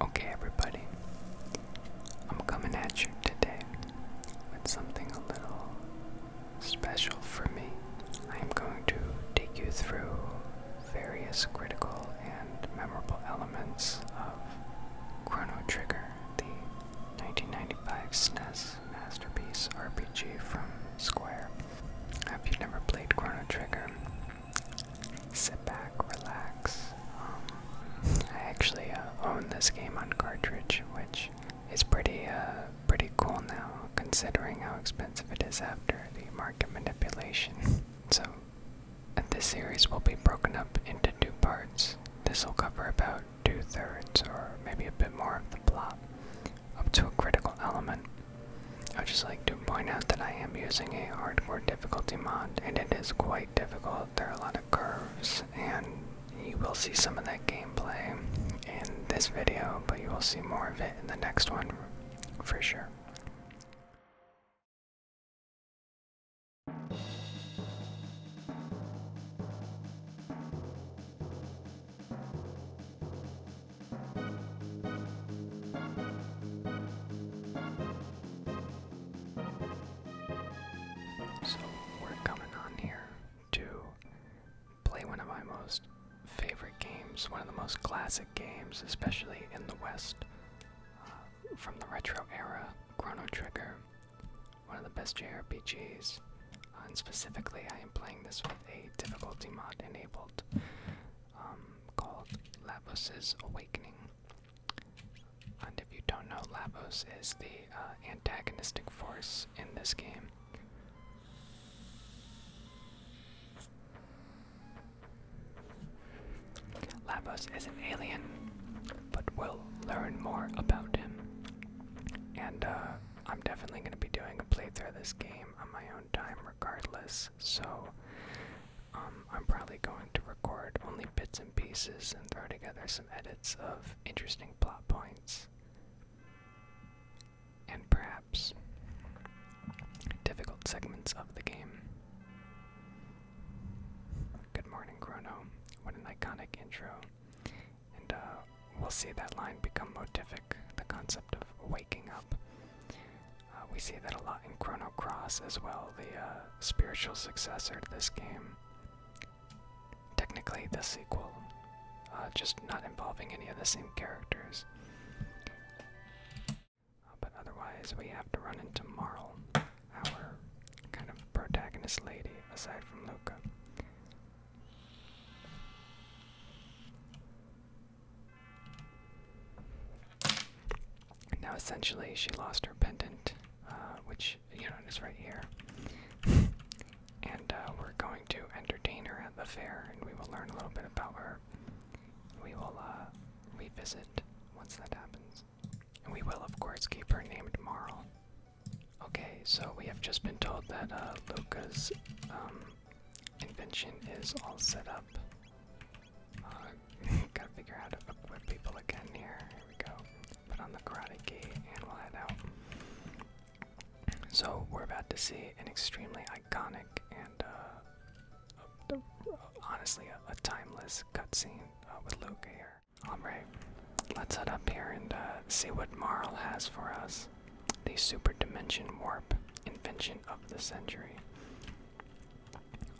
Okay, everybody, I'm coming at you today with something a little special for me. I am going to take you through various critical and memorable elements of Chrono Trigger, the 1995 SNES masterpiece RPG from Square. Have you never played Chrono Trigger? Sit back, relax. Um, I actually uh, own this game on cartridge, which is pretty, uh, pretty cool now, considering how expensive it is after the market manipulation. so, this series will be broken up into two parts. This will cover about two thirds, or maybe a bit more, of the plot up to a critical element. I'd just like to point out that I am using a hardcore difficulty mod, and it is quite difficult. There are a lot of curves, and you will see some of that gameplay in this video, but you will see more of it in the next one for sure. So we're coming on here to play one of my most favorite games, one of the most classic games, especially in the West, uh, from the retro era, Chrono Trigger, one of the best JRPGs. Uh, and specifically, I am playing this with a difficulty mod enabled um, called Lavos's Awakening. And if you don't know, Lavos is the uh, antagonistic force in this game. Lavos is an alien, but we'll learn more about him. And uh, I'm definitely going to be doing a playthrough of this game on my own downtime regardless, so um, I'm probably going to record only bits and pieces and throw together some edits of interesting plot points. And perhaps difficult segments of the game. Good morning, Chrono. What an iconic intro. And uh, we'll see that line become motific. the concept of waking up. Uh, we see that a lot in Chrono Cross as well, the uh, spiritual successor to this game. Technically, the sequel, uh, just not involving any of the same characters. but otherwise, we have to run into Marl, our kind of protagonist lady, aside from Luca now essentially she lost her pendant, uh, which, you know, is right here. and uh, we're going to entertain her at the fair, and we will learn a little bit about her. We will uh, revisit once that happens. And we will, of course, keep her named Marl. Okay, so we have just been told that uh, Luca's um, Invention is all set up. Uh, gotta figure out how to equip people again here. we go. Put on the karate key and we'll head out. So we're about to see an extremely iconic and uh, honestly a, timeless cutscene uh, with Luke here. Alright, let's head up here and see what Marl has for us the super dimension warp invention of the century.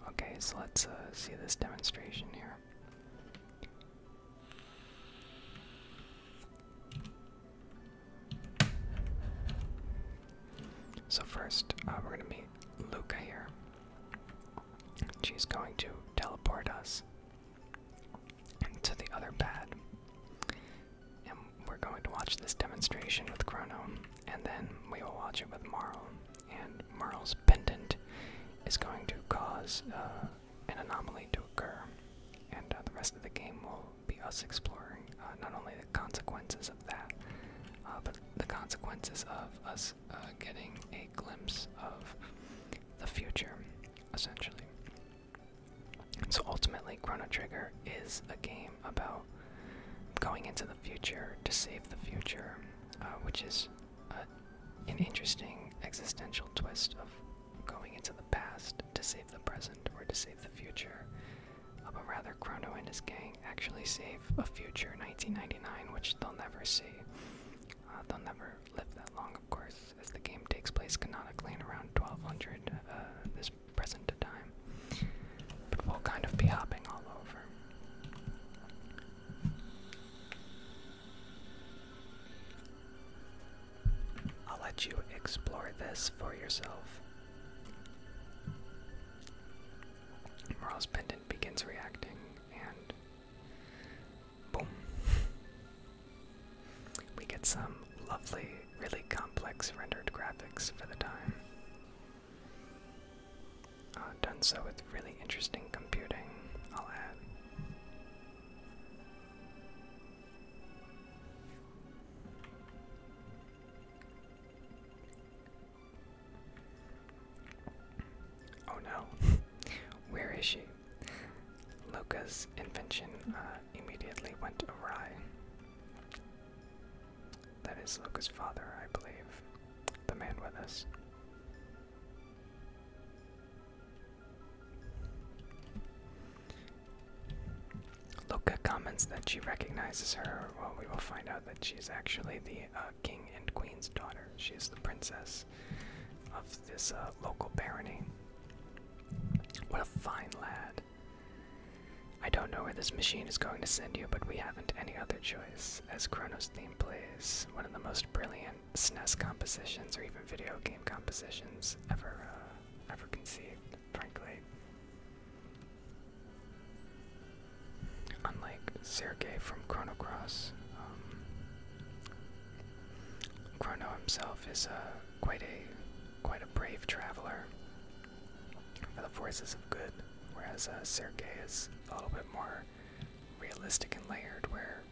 Okay, so let's uh, see this demonstration here. So first, uh, we're gonna meet Luca here. She's going to teleport us to the other pad, we're going to watch this demonstration with Chrono, and then we will watch it with Marl. And Marl's pendant is going to cause uh, an anomaly to occur, and uh, the rest of the game will be us exploring uh, not only the consequences of that, but the consequences of us getting a glimpse of the future, essentially. So ultimately, Chrono Trigger is a game about going into the future to save the future, uh, which is an interesting existential twist of going into the past to save the present or to save the future. but rather, Chrono and his gang actually save a future 1999, which they'll never see. Uh, they'll never live that long, of course, as the game takes place canonically in around 1200. Uh, this this present time. But we'll kind of be hopping all over. I'll let you explore this for yourself. Moral's pendant begins reacting, and boom. We get some lovely really complex rendered graphics for the time. Uh, done so with really interesting computing, I'll add. Oh no, where is she? Luca's invention uh, immediately went awry. That is Luka's father, I believe. The man with us. Luka comments that she recognizes her. Well, we will find out that she's actually the uh, king and queen's daughter. She is the princess of this uh, local barony. What a fine lad. I don't know where this machine is going to send you, but we haven't any other choice, as Chrono's theme plays one of the most brilliant SNES compositions or even video game compositions ever, uh, ever conceived, frankly. Unlike Sergei from Chrono Cross, um, Chrono himself is uh, quite a quite a brave traveler for the forces of good, whereas uh, Sergei is a little bit more realistic and layered, where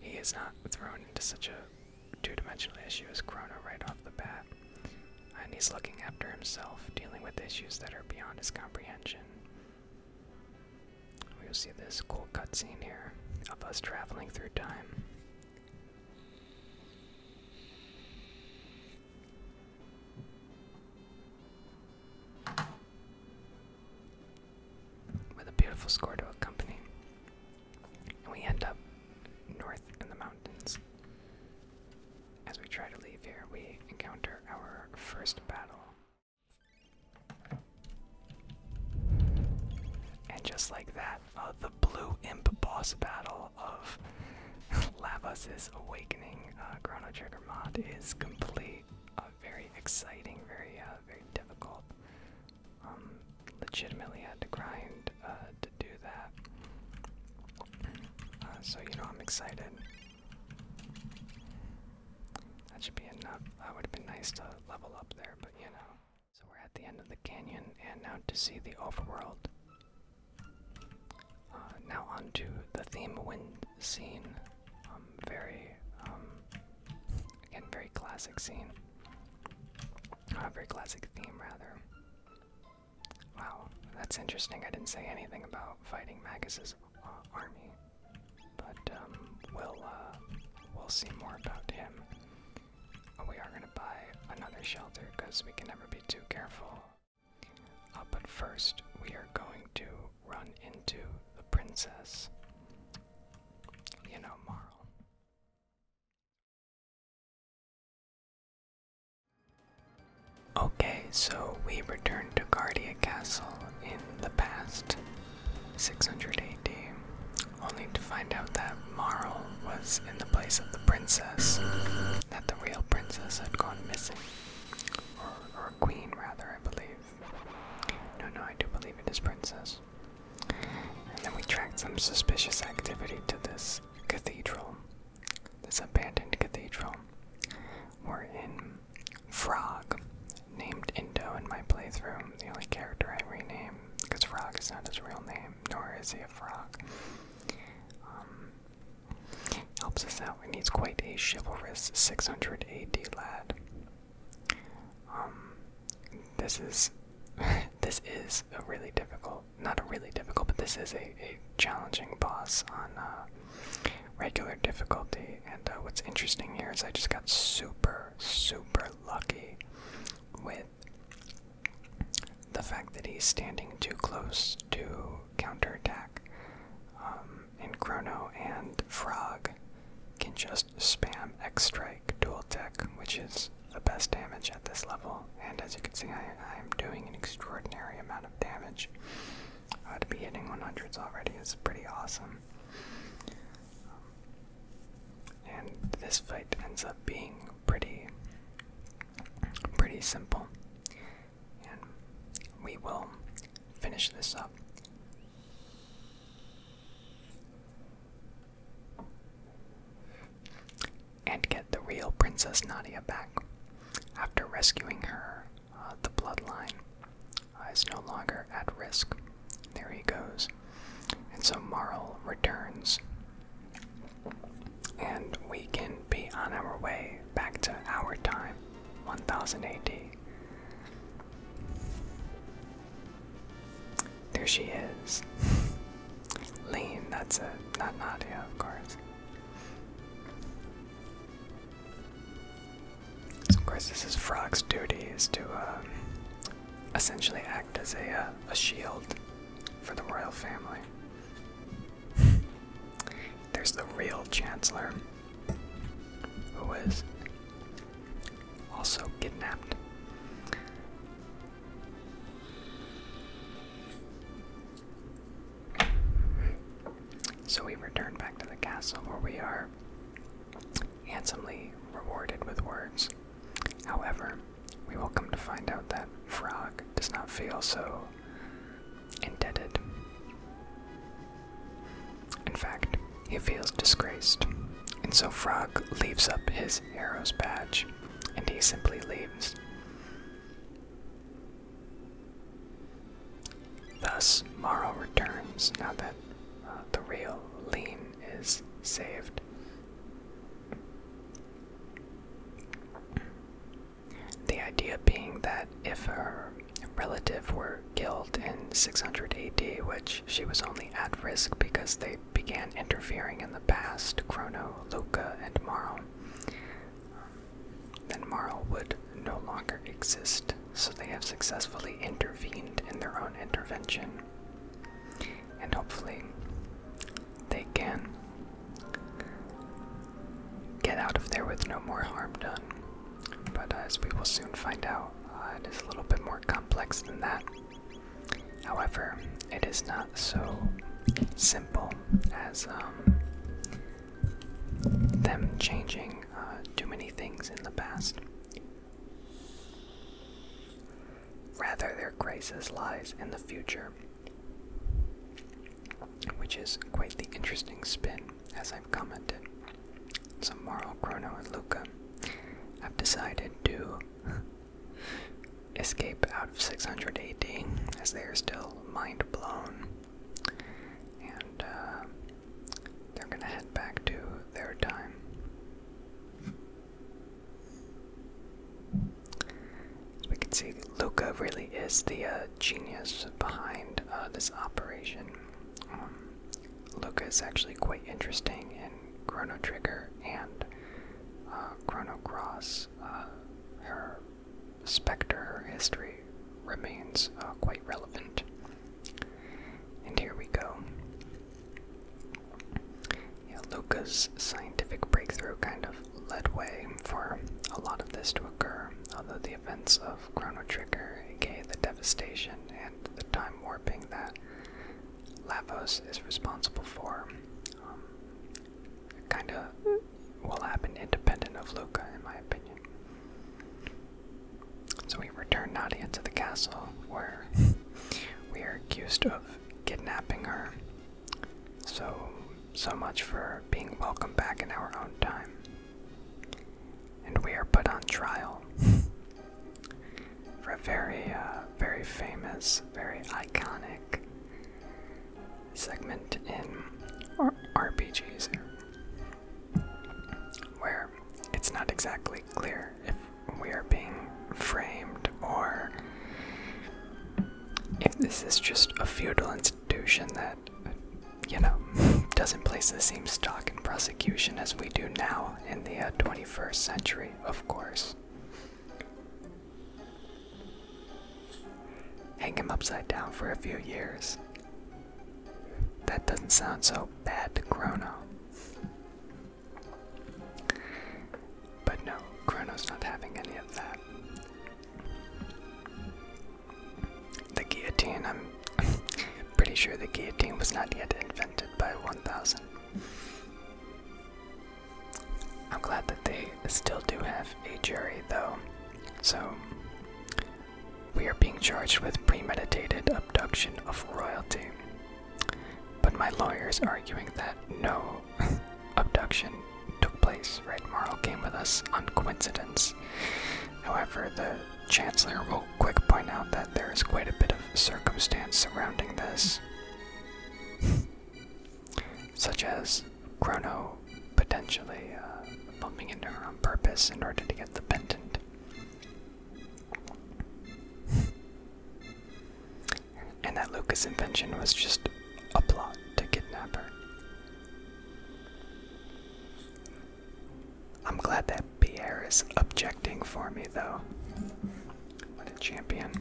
he is not thrown into such a two-dimensional issue as Chrono right off the bat, and he's looking after himself, dealing with issues that are beyond his comprehension. We'll see this cool cutscene here of us traveling through time. With a beautiful score to accompany. And we end up north in the mountains. As we try to leave here, we encounter our first battle. And just like that, uh, the blue imp boss battle of Lavas' Awakening uh, Chrono Trigger mod is complete. Uh, very exciting, very, uh, very difficult. Um, legitimately had to grind uh, to do that. so, you know, I'm excited. That should be enough. That would have been nice to level up there, but you know. So, we're at the end of the canyon, and now to see the overworld. Uh, now on to the theme wind scene. Um, very, um, again, very classic scene. Uh, very classic theme, rather. Wow, that's interesting. I didn't say anything about fighting Magus's uh, army, but um, we'll uh, we'll see more about him. we are gonna buy another shelter because we can never be too careful but first, we are going to run into the princess, you know, Marl. Okay, so we return to Guardia Castle in the past 600 AD, only to find out that Marl was in the place of the princess that the real princess had gone missing. Or, queen, rather, I believe. No, no, I do believe it is princess. And then we tracked some suspicious activity to this cathedral, this abandoned cathedral, in Frog, named Indo in my playthrough, the only character I rename, because Frog is not his real name, nor is he a frog. Um, Helps us out, and he's quite a chivalrous 600 AD lad. Um, this is, this is a really difficult, not a really difficult, but this is a, challenging boss on uh, regular difficulty. And uh, what's interesting here is I just got super, super lucky with the fact that he's standing too close to counterattack, um, and Chrono and Frog can just spam X Strike dual tech, which is the best damage at this level. And as you can see, I am doing an extraordinary amount of damage. i uh, to be hitting 100s already It's pretty awesome. and this fight ends up being pretty Pretty simple. And we will finish this up. And get the real Princess Nadia back. After rescuing her, uh, the bloodline uh, is no longer at risk. There he goes. And so Marl returns and we can be on our way back to our time, 1000 AD. There she is. Lean, that's it. Not Nadia, of course. of course, this is Frog's duty is to um, essentially act as a, uh, a shield for the royal family. There's the real Chancellor, who was also kidnapped. So we return back to the castle where we are handsomely rewarded with words. However, we will come to find out that Frog does not feel so indebted. In fact, he feels disgraced, and so Frog leaves up his arrows badge, and he simply leaves. Thus, Morrow returns now that uh, the real Lean is saved. The idea being that if her relative were killed in 600 AD, which she was only at risk because they began interfering in the past, Chrono, Luca, and Maro, then Maro would no longer exist, so they have successfully intervened in their own intervention. And hopefully, they can get out of there with no more harm done. But uh, as we will soon find out, uh, it is a little bit more complex than that. However, it is not so simple as um, them changing uh, too many things in the past. Rather, their crisis lies in the future which is quite the interesting spin, as I've commented. So Marl, Chrono, and Luca have decided to escape out of 600 AD, as they are still mind blown, and uh, they're gonna head back to their time. As we can see, Luca really is the uh, genius behind uh, this operation. Um, Luca is actually quite interesting in Chrono Trigger and uh, Chrono Cross. Uh, her specter, history remains quite relevant. And here we go. Yeah, Luca's scientific breakthrough kind of led way for a lot of this to occur, although the events of Chrono Trigger, the devastation and the time warping that Lavos is responsible for, um, kind of will happen independent of Luca, in my opinion. So we return Nadia to the castle, where we are accused of kidnapping her so, so much for being welcome back in our own time. And we are put on trial for a very, uh, very famous, very iconic segment in RPGs where it's not exactly clear if we are being framed or if this is just a feudal institution that, you know, doesn't place the same stock in prosecution as we do now in the 21st uh, century, of course. Hang him upside down for a few years. That doesn't sound so bad to Chrono. But no, Chrono's not having any of that. The guillotine, I'm pretty sure the guillotine was not yet invented by 1000. I'm glad that they still do have a jury, though. So, we are being charged with premeditated abduction of royalty. But my lawyer's arguing that no abduction took place, right? Marl came with us on coincidence. However, the Chancellor will quickly point out that there is quite a bit of circumstance surrounding this, such as Chrono potentially uh, bumping into her on purpose in order to get the pendant. and that Lucas' invention was just a plot to kidnap her. I'm glad that Pierre is objecting for me, though. What a champion.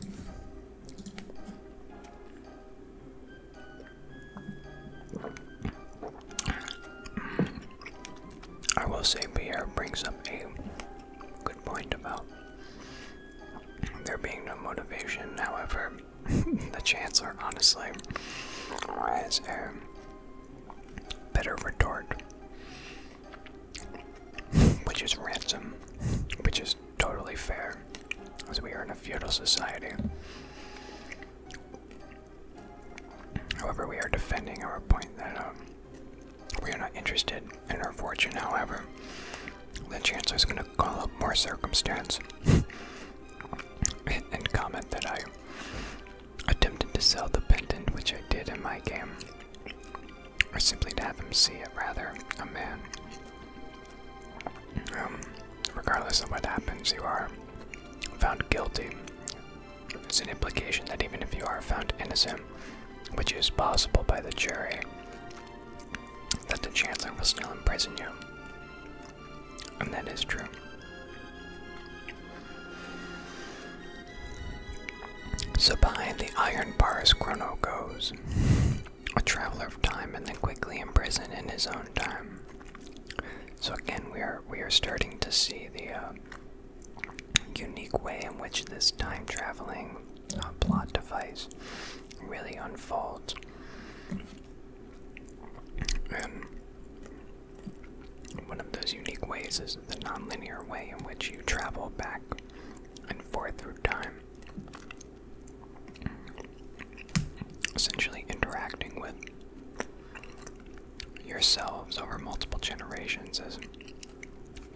I will say Pierre brings up a good point about there being no motivation. However, the Chancellor, honestly, as a better retort, which is ransom, which is totally fair, as we are in a feudal society. However, we are defending our point that um, we are not interested in our fortune, however, the chancellor is going to call up more circumstance and comment that I attempted to sell the pendant, which I did in my game, or simply to have him see it, rather, a man. Um, regardless of what happens, you are found guilty. It's an implication that even if you are found innocent, which is possible by the jury, that the Chancellor will still imprison you. And that is true. So behind the iron bars Chrono goes, a traveler of time and then quickly imprisoned in his own time. So again, we are, we are starting to see the uh, unique way in which this time traveling uh, plot device really unfolds. And one of those unique ways is the nonlinear way in which you travel back and forth through time, essentially interacting with yourselves over multiple generations as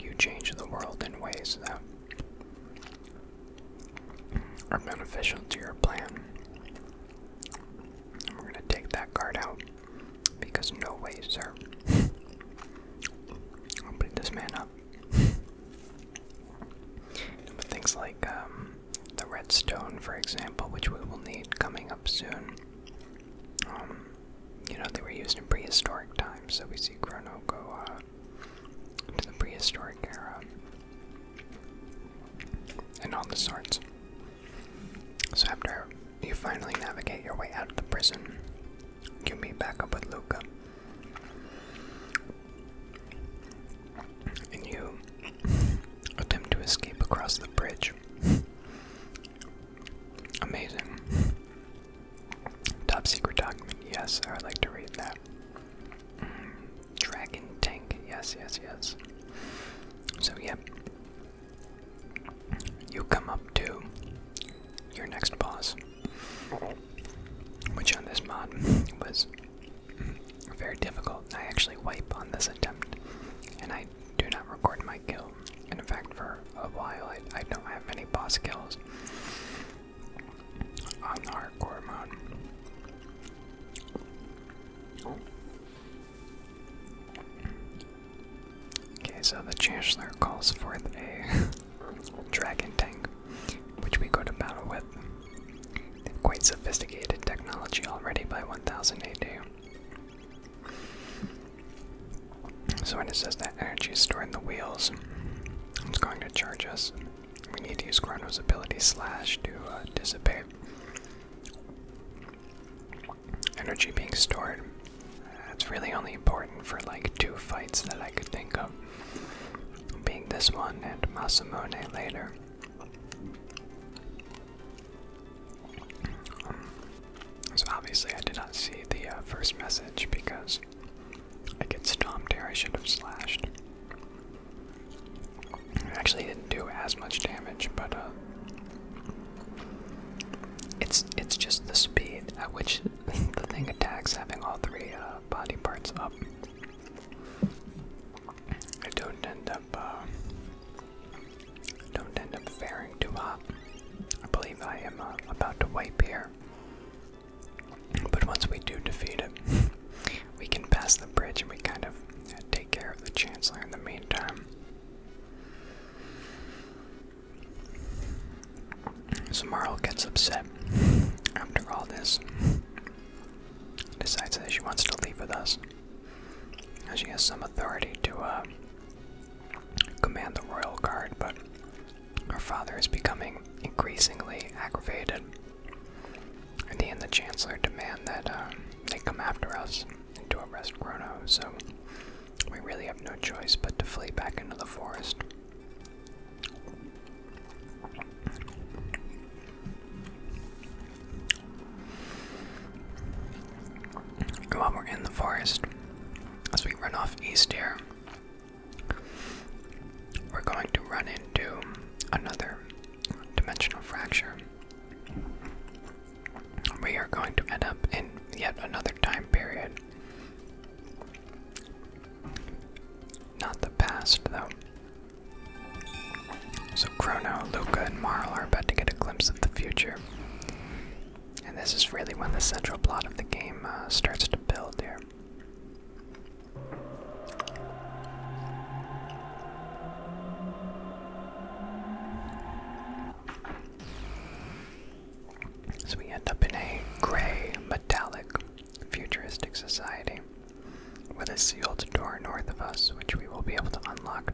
you change the world in ways that are beneficial to your plan. We're going to take that card out because no way, sir. I'll beat this man up. things like um, the redstone, for example, which we will need coming up soon. Um, you know, they were used in prehistoric times, so we see Chrono go on. Uh, to the prehistoric era and all the sorts. So after you finally navigate your way out of the prison, you meet back up with Luca. And you attempt to escape across the bridge. Amazing. Top secret document, yes, I would like to read that. Dragon tank. Yes, yes, yes. So, yep, You come up to your next boss, which on this mod was very difficult. I actually wipe on this attempt, and I do not record my kill. And in fact, for a while, I, I don't have any boss kills on the hardcore mode. Okay, so the Chancellor calls forth a dragon tank, which we go to battle with. quite sophisticated technology already by 1000 So when it says that energy is stored in the wheels, it's going to charge us we need to use Chrono's ability slash to uh, dissipate energy being stored. It's really only important for like two fights that I could think of, being this one and Masamune later. Um, so obviously I did not see the uh, first message because I get stomped here. I should have slashed. Actually, didn't do as much damage, but uh, it's it's just the speed at which the thing attacks, having all three uh, body parts up. I don't end up uh, don't end up faring too hot. I believe I am uh, about to wipe here. But once we do defeat it, we can pass the bridge and we kind of take care of the Chancellor in the meantime. So Marl gets upset after all this, decides that she wants to leave with us. Now she has some authority to uh, command the royal guard, but her father is becoming increasingly aggravated in the end, the Chancellor demand that um, they come after us and to arrest Chrono, so we really have no choice but to flee back into the forest. And while we're in the forest, as we run off east here, we're going to run into another dimensional fracture. We are going to end up in yet another time period. Not the past, though. So, Chrono, Luca, and Marl are about to get a glimpse of the future. And this is really when the central plot of the game uh, starts to build here. So we end up in a gray, metallic, futuristic society with a sealed door north of us, which we will be able to unlock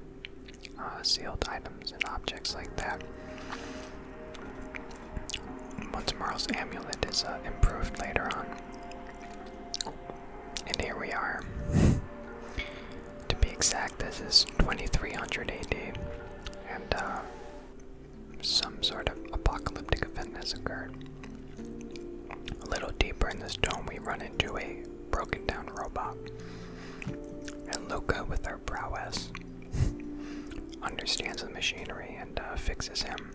uh, sealed items and objects like that. Once Marl's amulet is uh, improved later on, and here we are. to be exact, this is 2300 AD, and uh, some sort of apocalyptic event has occurred. A little deeper in this dome, we run into a broken down robot. And Luca, with her prowess, understands the machinery and uh, fixes him.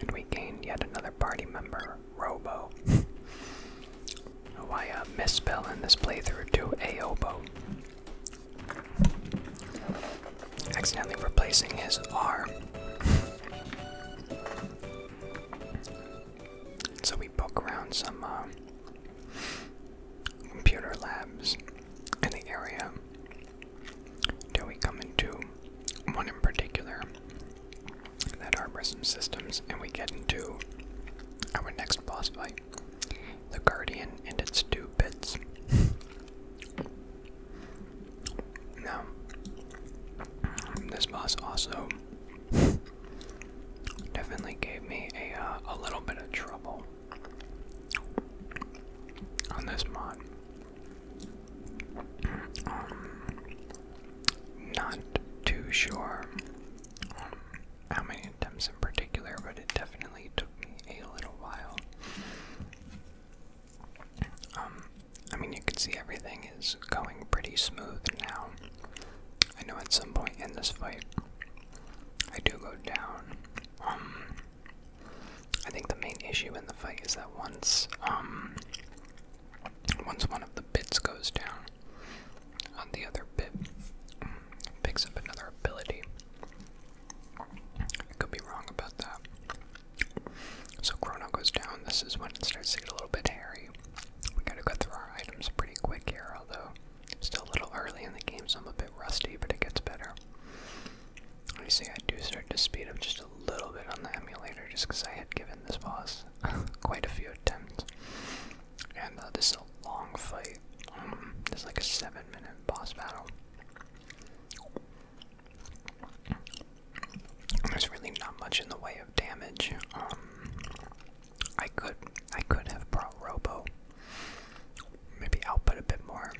And we gain yet another party member Robo, who oh, I uh, misspell in this playthrough to Aobo, accidentally replacing his R. so we poke around some uh, computer labs in the area till we come into one in particular that harbor some systems, and we get into our next boss fight the Guardian and its two bits. now, this boss also definitely gave me a, uh, a little bit of trouble on this mod. Um, not too sure how many attempts in particular, but it definitely took me a little while. Um, I mean, you can see everything is going pretty smooth now. I know at some point in this fight, I do go down. Um, I think the main issue in the fight is that once um, once one of the bits goes down, on the other bit mm, picks up another ability. I could be wrong about that. So Chrono goes down. This is when it starts to get a little bit hairy. We gotta go through our items pretty quick here, although still a little early in the game, so I'm a bit rusty, but it gets better. You see, I do start to speed up just a a little bit on the emulator just because I had given this boss quite a few attempts. And uh, this is a long fight. Um, it's like a seven minute boss battle. There's really not much in the way of damage. Um, I could I could have brought Robo. Maybe output a bit more.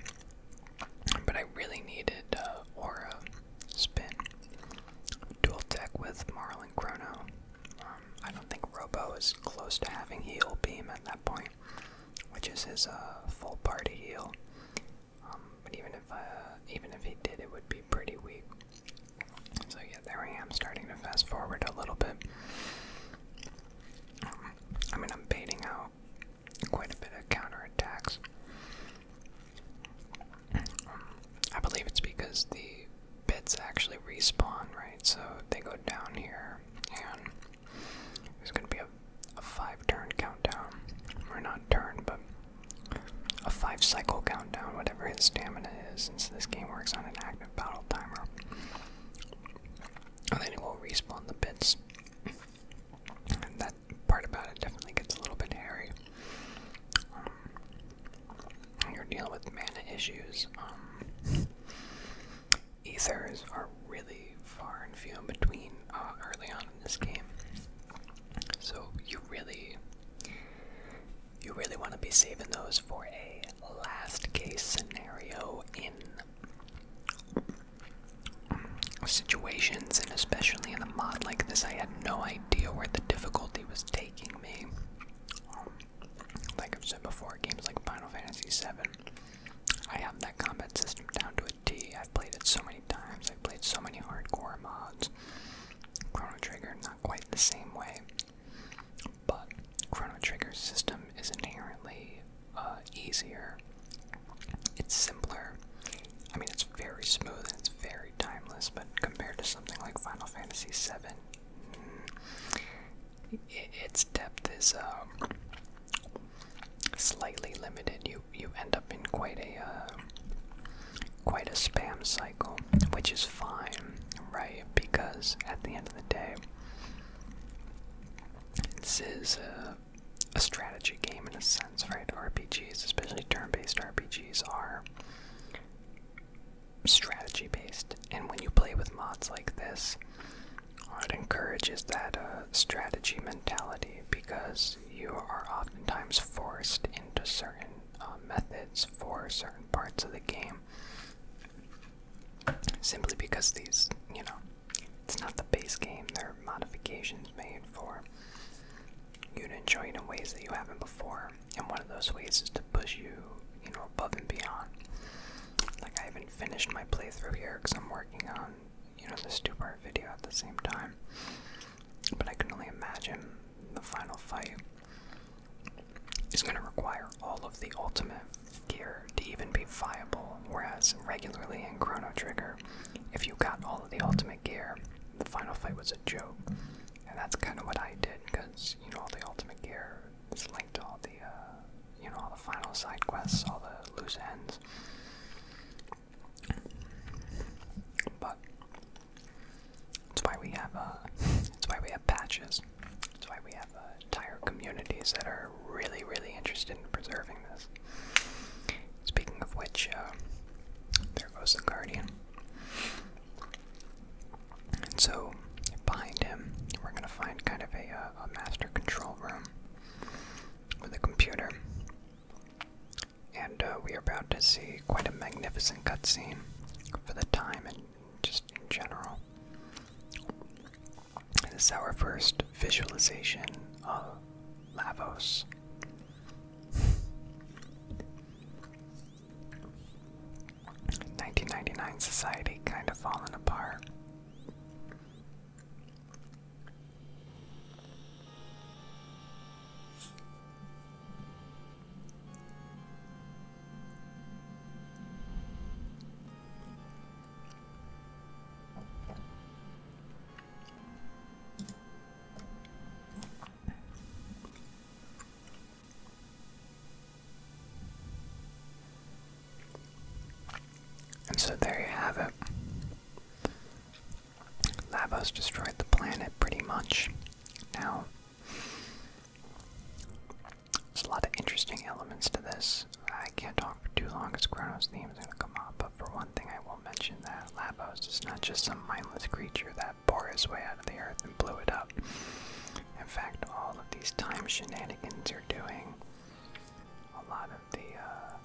But I really needed uh, Aura Spin dual tech with Marlin Chrono. Um, I don't think Robo is close to having heal beam at that point, which is his uh, full party heal. Um, but even if uh, even if he did, it would be pretty weak. So yeah, there I am, starting to fast forward a little bit. Um, I mean, I'm baiting out quite a bit of counter attacks. I believe it's because the bits actually respawn, right? So they go down here, and there's gonna be a, a five turn countdown. Or not turn, but a five cycle countdown, whatever his stamina is, since this game works on an active battle timer. And then it will respawn the bits. And part about it definitely gets a little bit hairy. Um, you're dealing with mana issues. Um, ethers are really far and few in between uh, early on in this game, so you really, you really want to be saving those for a last case scenario in. Um, situations and especially in a mod like this, I had no idea where the difficulty was taking me. like I've said before, games like Final Fantasy VII, I have that combat system down to a T. I've played it so many times. I've played so many hardcore mods. Chrono Trigger, not quite the same way, but Chrono Trigger's system is inherently uh, easier. It's simpler. I mean, it's very smooth and it's very timeless, but compared to something like Final Fantasy VII, mm, its depth is um, slightly limited. You you end up in quite a uh, quite a spam cycle, which is fine, right? Because at the end of the day, this is a, strategy game in a right? RPGs, especially turn based RPGs, are strategy based, and when you play with mods like this, it encourages that uh, strategy mentality because you are oftentimes forced into certain uh, methods for certain parts of the game simply because these, you know, it's not the base game, they are modifications made for you to enjoy it in ways that you haven't before. And one of those ways is to push you, you know, above and beyond. Like I haven't finished my playthrough here because I'm working on, you know, this two-part video at the same time. But I can only imagine the final fight is going to require all of the ultimate gear to even be viable. Whereas regularly in Chrono Trigger, if you got all of the ultimate gear, the final fight was a joke. And that's kind of what I did, because, you know, all the Ultimate Gear is linked to all the, uh, you know, all the final side quests, all the loose ends. But, that's why we have, uh, that's why we have patches. That's why we have uh, entire communities that are really, really interested in preserving this. Speaking of which, uh, there goes the Guardian. And so, behind him, we're going to find kind of uh, a, master control room with a computer. And uh, we are about to see quite a magnificent cutscene for the time and just in general. This is our first visualization of Lavos. Nineteen ninety nine society kind of fallen apart. And so there you have it. Labos destroyed the planet pretty much. Now, there's a lot of interesting elements to this. I can't talk for too long it's Chrono's theme is going to come up, but for one thing, I will mention that Labos is not just some mindless creature that bore his way out of the earth and blew it up. In fact, all of these time shenanigans are doing a lot of the uh,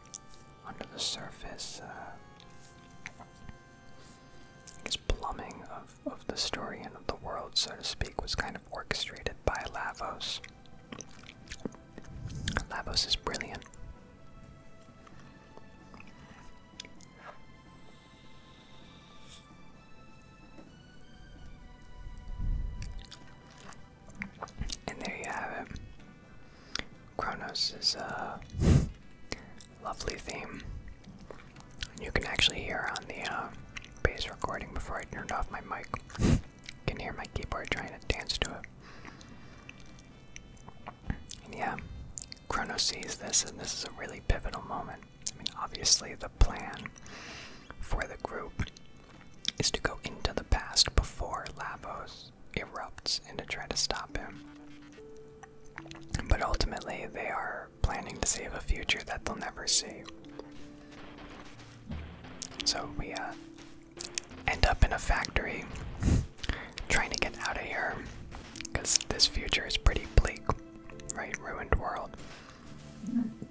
under the surface, uh, plumbing of, of the story and of the world, so to speak, was kind of orchestrated by Lavos. Lavos is brilliant. And there you have it. Kronos is a lovely theme. You can actually hear on the uh, bass recording before I turned off my mic. You can hear my keyboard trying to dance to it. yeah, Chrono sees this, and this is a really pivotal moment. I mean, obviously, the plan for the group is to go into the past before Lavos erupts and to try to stop him. But ultimately, they are planning to save a future that they'll never see. So we uh, end up in a factory trying to get out of here because this future is pretty bleak, right? Ruined world. And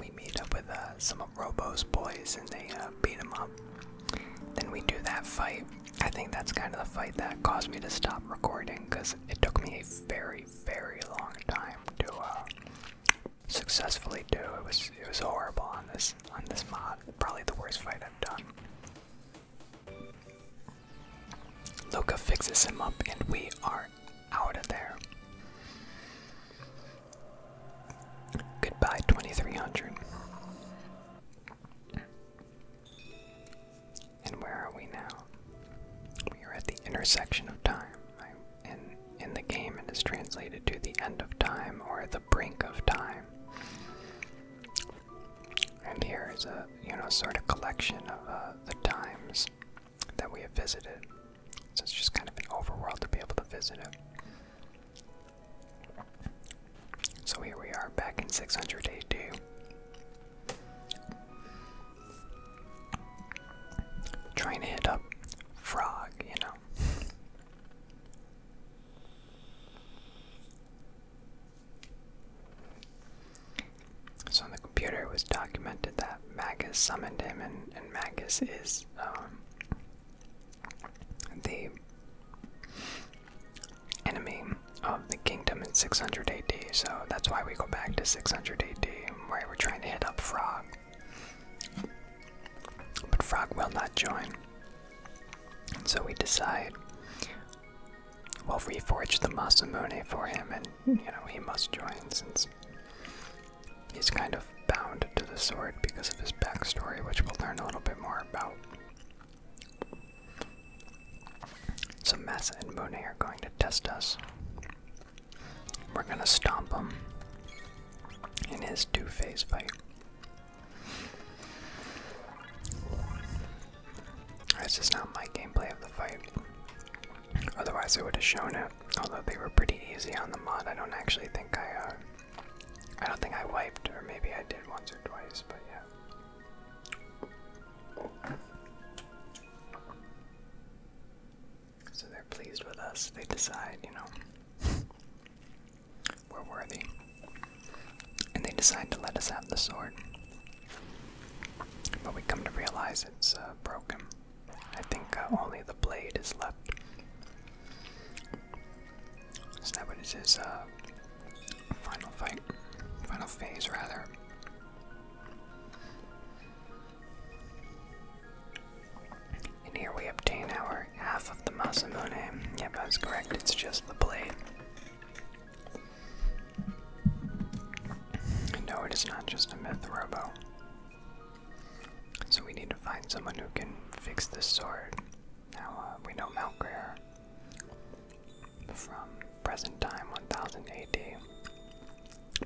we meet up with uh, some of Robo's boys and they uh, beat him up. Then we do that fight. I think that's kind of the fight that caused me to stop recording because it took me a very, very long time to uh, successfully do. It was it was horrible on this on this mod. Probably the worst fight I've done. Loka fixes him up, and we are out of there. Goodbye, 2300. And where are we now? We are at the intersection of time. in, in the game, and it is translated to the end of time or the brink of time. And here is a you know sort of collection of uh, the times that we have visited. So it's just kind of an overworld to be able to visit it. So here we are back in 600 Trying to hit up Frog, you know. So on the computer, it was documented that Magus summoned him, and, Magus is um, the enemy of the kingdom in 600 AD. So that's why we go back to 600 AD, Right? we're trying to hit up Frog. But Frog will not join. And so we decide well, reforge the Masamune for him, and you know, he must join since he's kind of bound to the sword because of his backstory, which we'll learn a little bit more about. So, Masamune and Mune are going to test us. We're gonna stomp him in his two phase fight. That's just not my gameplay of the fight. Otherwise, I would have shown it. Although they were pretty easy on the mod, I don't actually think I. Uh, I don't think I wiped, or maybe I did once or twice, but yeah. So they're pleased with us. They decide, you know were worthy. And they decide to let us have the sword. But we come to realize it's uh, broken. I think uh, only the blade is left. So that what it is? Uh, final fight, final phase rather. And here we obtain our half of the Masamune. Yep, that's correct, it's just the blade. No, it is not just a myth robo. So we need to find someone who can fix this sword. Now, uh, we know Malgrare from present time 1000 AD.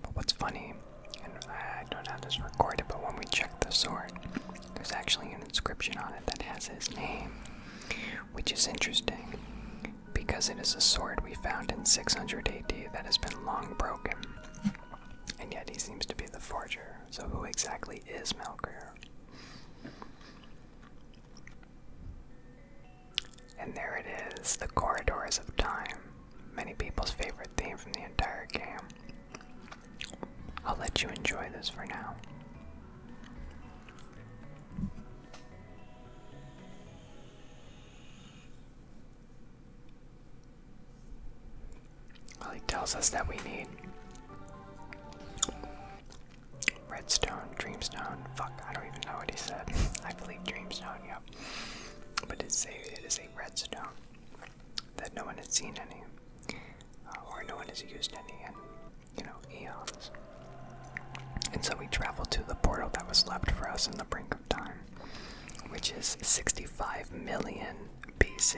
But what's funny, and I don't have this recorded, but when we check the sword, there's actually an inscription on it that has his name, which is interesting because it is a sword we found in 600 AD that has been long broken. And yet he seems to be the forger. So who exactly is Melkor? And there it is, the corridors of time. Many people's favorite theme from the entire game. I'll let you enjoy this for now. Well, he tells us that we need redstone, dreamstone. Fuck, I don't even know what he said. I believe dreamstone, yep. But it's a, it is a redstone that no one has seen any, uh, or no one has used any, and you know, eons. And so we travel to the portal that was left for us in the brink of time, which is 65 million BC.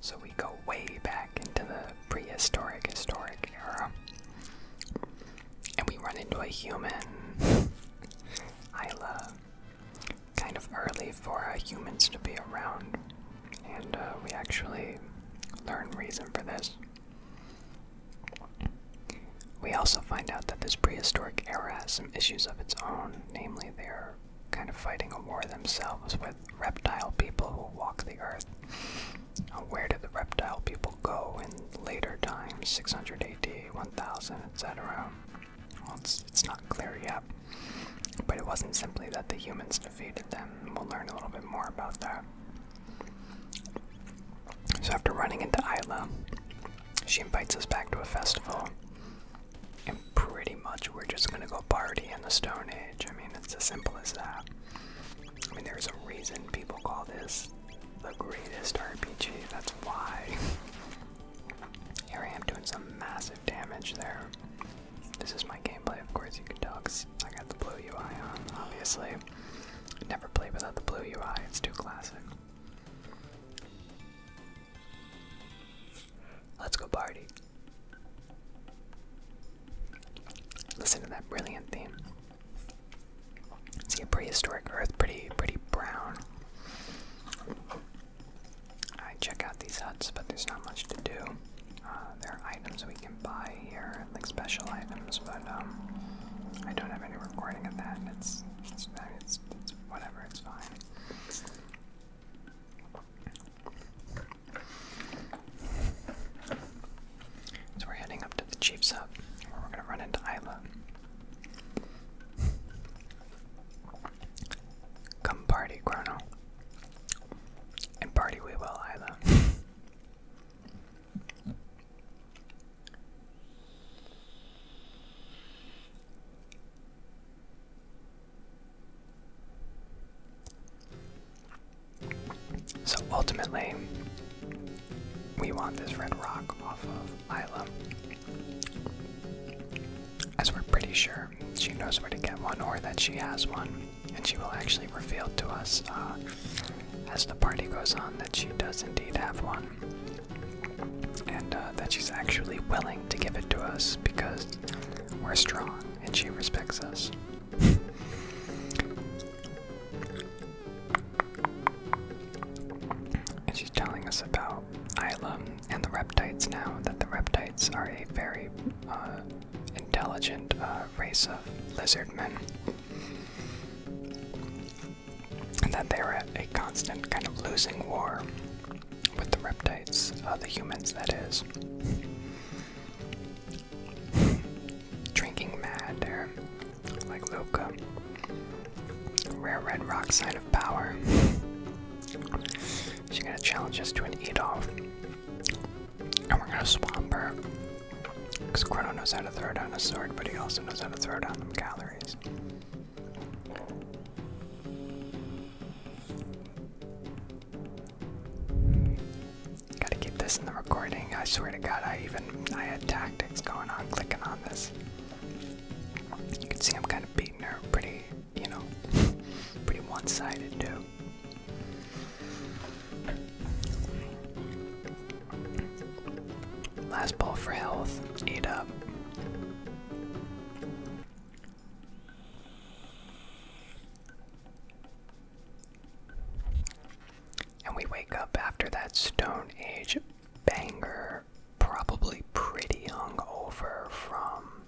so we go way back into the prehistoric, historic era. And we run into a human, Isla. Kind of early for humans to be around, and uh, we actually learn reason for this. We also find out that this prehistoric era has some issues of its own, namely, they're kind of fighting a war themselves with reptile people who walk the earth. Where did the reptile people go in later times, 600 AD, 1000, etc.? Well, it's, it's not clear yet. But it wasn't simply that the humans defeated them. We'll learn a little bit more about that. So, after running into Isla, she invites us back to a festival. And pretty much we're just gonna go party in the Stone Age. I mean, it's as simple as that. I mean, there's a reason people call this the greatest RPG. That's why. Here I am doing some massive damage there. This is my gameplay, of course, you can tell I got the blue UI on, obviously. I never play without the blue UI, it's too classic. Let's go party. Listen to that brilliant theme. See a prehistoric earth, pretty, pretty brown. I check out these huts, but there's not much to do. Uh, there are items we can buy here, like special items, but um, I don't have any recording of that, it's, whatever, it's fine. So we're heading up to the Chiefs Hub, where we're gonna run into Isla. Come party, Chrono and party we will either. So ultimately, we want this red rock off of Isla, as we're pretty sure she knows where to get one or that she has one, and she will actually reveal to us uh, as the party goes on that she does indeed have one, and uh, that she's actually willing to give it to us because we're strong and she respects us. and she's telling us about Isla and the reptites now, that the reptites are a very uh, intelligent a race of lizard men. And that they are at a constant kind of losing war with the reptites, uh, the humans, that is. Drinking mad, or like Luca. Rare red rock sign of power. She's gonna challenge us to an eat off. And we're gonna swamp her. Because Chrono knows how to throw down a sword, but he also knows how to throw down them calories. Gotta keep this in the recording. I swear to God, I even I had tactics going on, clicking on this. You can see I'm kind of beating her pretty, you know, pretty one-sided too. Last ball for health. Eat up. And we wake up after that Stone Age banger, probably pretty hungover from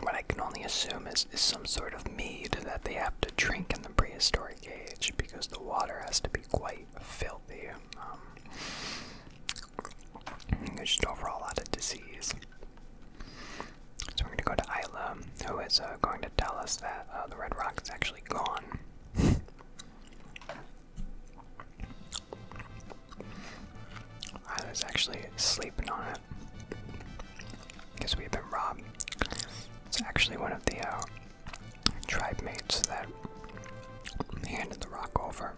what I can only assume is, is some sort of mead that they have to drink in the prehistoric age because the water has to be quite filthy. Um, there's just overall a lot of disease. So we're going to go to Isla, who is uh, going to tell us that uh, the red rock is actually gone. I was actually sleeping on it because we've been robbed. It's actually one of the uh, tribe mates that handed the rock over.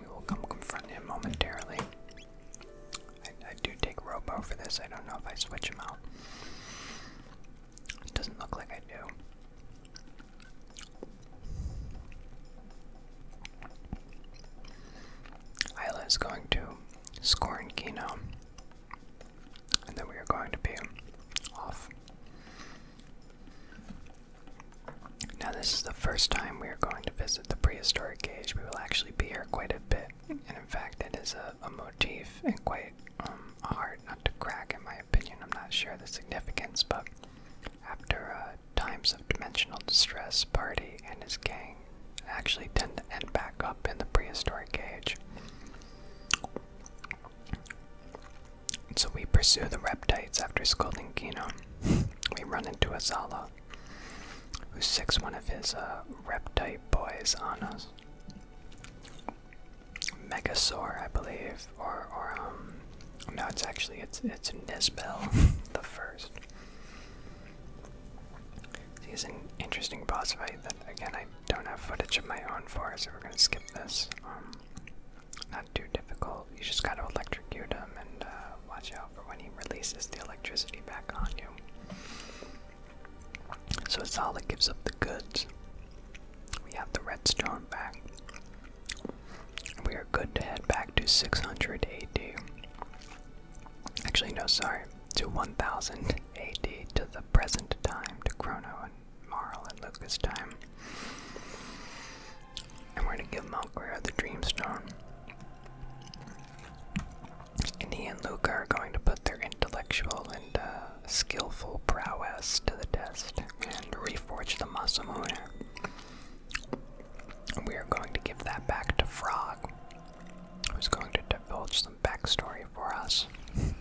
We will come confront him momentarily. I, I do take Robo for this. I don't know if I switch him out. It doesn't look like I do. Isla is going to score in Kino, and then we are going to be off. Now, this is the first time we are going to visit the prehistoric age. We will actually be here quite a bit, and in fact, it is a, motif and quite um, hard not to crack, in my opinion. I'm not sure the significance, but after uh, times of dimensional distress, Party and his gang actually tend to end back up in the prehistoric age. So we pursue the reptites after scolding Kino. We run into Azala, who sicks one of his uh, reptite boys on us. Megasaur, I believe, or or um, no, it's actually it's it's Nisbel the first. He's an interesting boss fight that, again, I don't have footage of my own for, so we're gonna skip this. Um, not too difficult. You just gotta electrocute him and uh, watch out for when he releases the electricity back on you. So it's all that gives up the goods. We have the redstone back. We are good to head back to 600 Actually, no, sorry. To 1000 AD to the present time, to Chrono and Marl and Lucas' time. And we're going to give Malgrare the Dream Stone, And he and Luca are going to put their intellectual and uh, skillful prowess to the test and reforge the Masamune. And We are going to give that back to Frog who's going to divulge some backstory for us. And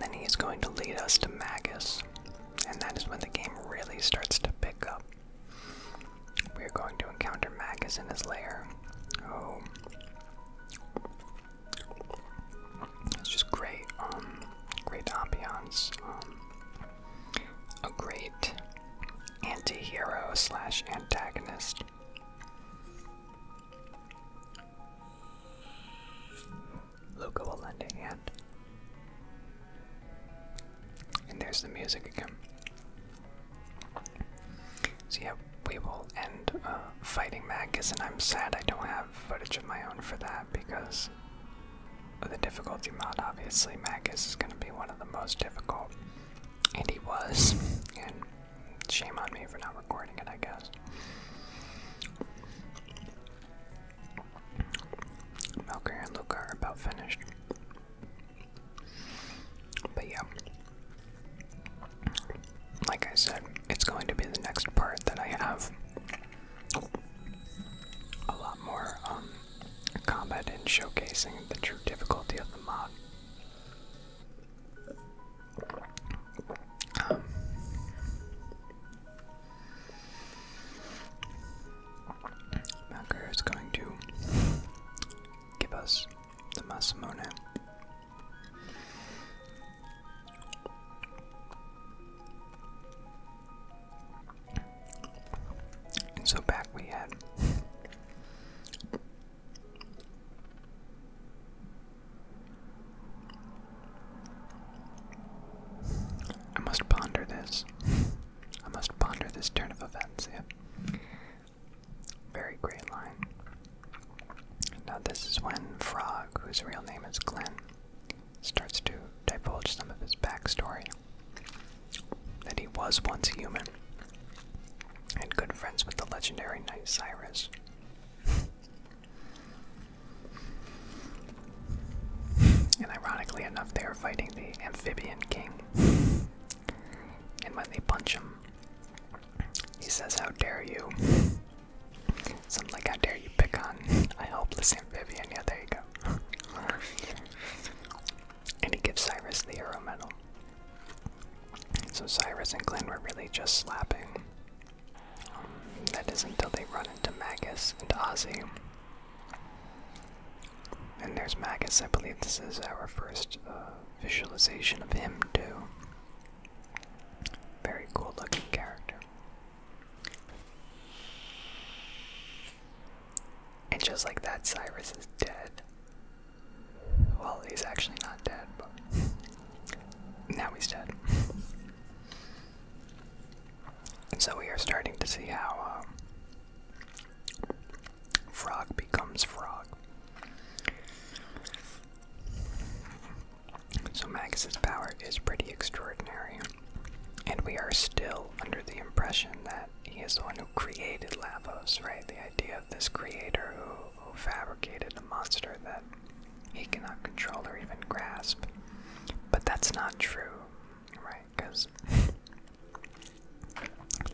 then he's going to lead us to Magus, and that is when the game really starts to pick up. We are going to encounter Magus in his lair. Oh, it's just great, um, great ambiance. Um, a great anti-hero slash antagonist. Luca will lend a hand. And there's the music again. So yeah, we will end uh, fighting Magus, and I'm sad I don't have footage of my own for that because the difficulty mod, obviously Magus is going to be one of the most difficult, and he was, and shame on me for not recording it, I guess. Melker and Luca are about finished. But yeah, like I said, it's going to be the next part that I have a lot more um, combat and showcasing the true difficulty of the mod. Um, is going to give us the Masamune so back we had. I must ponder this. I must ponder this turn of events, Yep. Very great line. Now, this is when Frog, whose real name is Glenn, starts to divulge some of his backstory that he was once human and good friends with the legendary knight Cyrus. and ironically enough, they are fighting the amphibian king. And when they punch him, he says, How dare you? Something like, How dare you pick on a helpless amphibian? Yeah, there you go and he gives Cyrus the Hero Medal. So Cyrus and Glenn were really just slapping. that is until they run into Magus and Ozzy. And there's Magus. I believe this is our first uh, visualization of him, too. Very cool looking character. And just like that, Cyrus is dead. Well, he's actually not dead, but now he's dead. so we are starting to see how um, Frog becomes Frog. So Magus's power is pretty extraordinary, and we are still under the impression that he is the one who created Lavos, right? The idea of this creator who, who fabricated a monster that he cannot control or even grasp. But that's not true, right? Because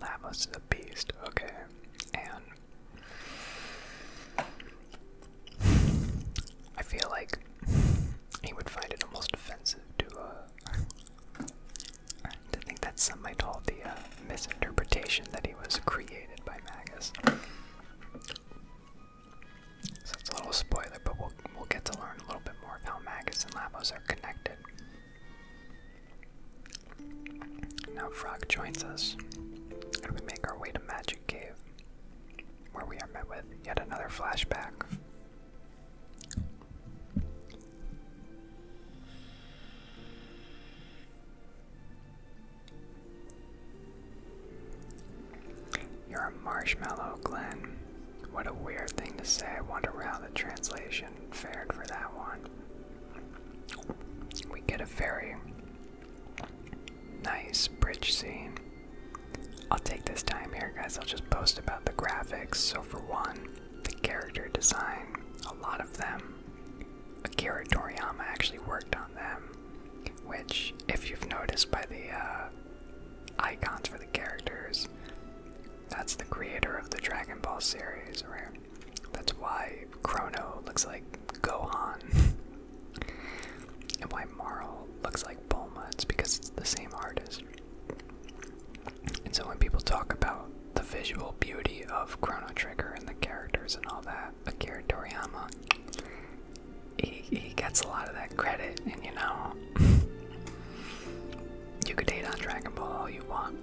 Lavos is a beast, okay? And. I feel like he would find it almost offensive to uh, I think that's somebody told the uh, misinterpretation that he was created by Magus. So it's a little spoiler, but we'll, we'll get to learn a little bit more of how Magus and Labos are connected. Now Frog joins us, and we make our way to Magic Cave, where we are met with yet another flashback you're a marshmallow, Glenn. What a weird thing to say. I wonder how the translation fared for that one. We get a very nice bridge scene. I'll take this time here, guys. I'll just post about the graphics. So, for one, the character design, a lot of them. Akira Toriyama actually worked on them, which, if you've noticed by the uh, icons for the characters, that's the creator of the Dragon Ball series, right? That's why Chrono looks like Gohan, and why Marl looks like Bulma. It's because it's the same artist. And so when people talk about the visual beauty of Chrono Trigger and the characters and all that, Akira Toriyama, he, he gets a lot of that credit, and you know, you could hate on Dragon Ball all you want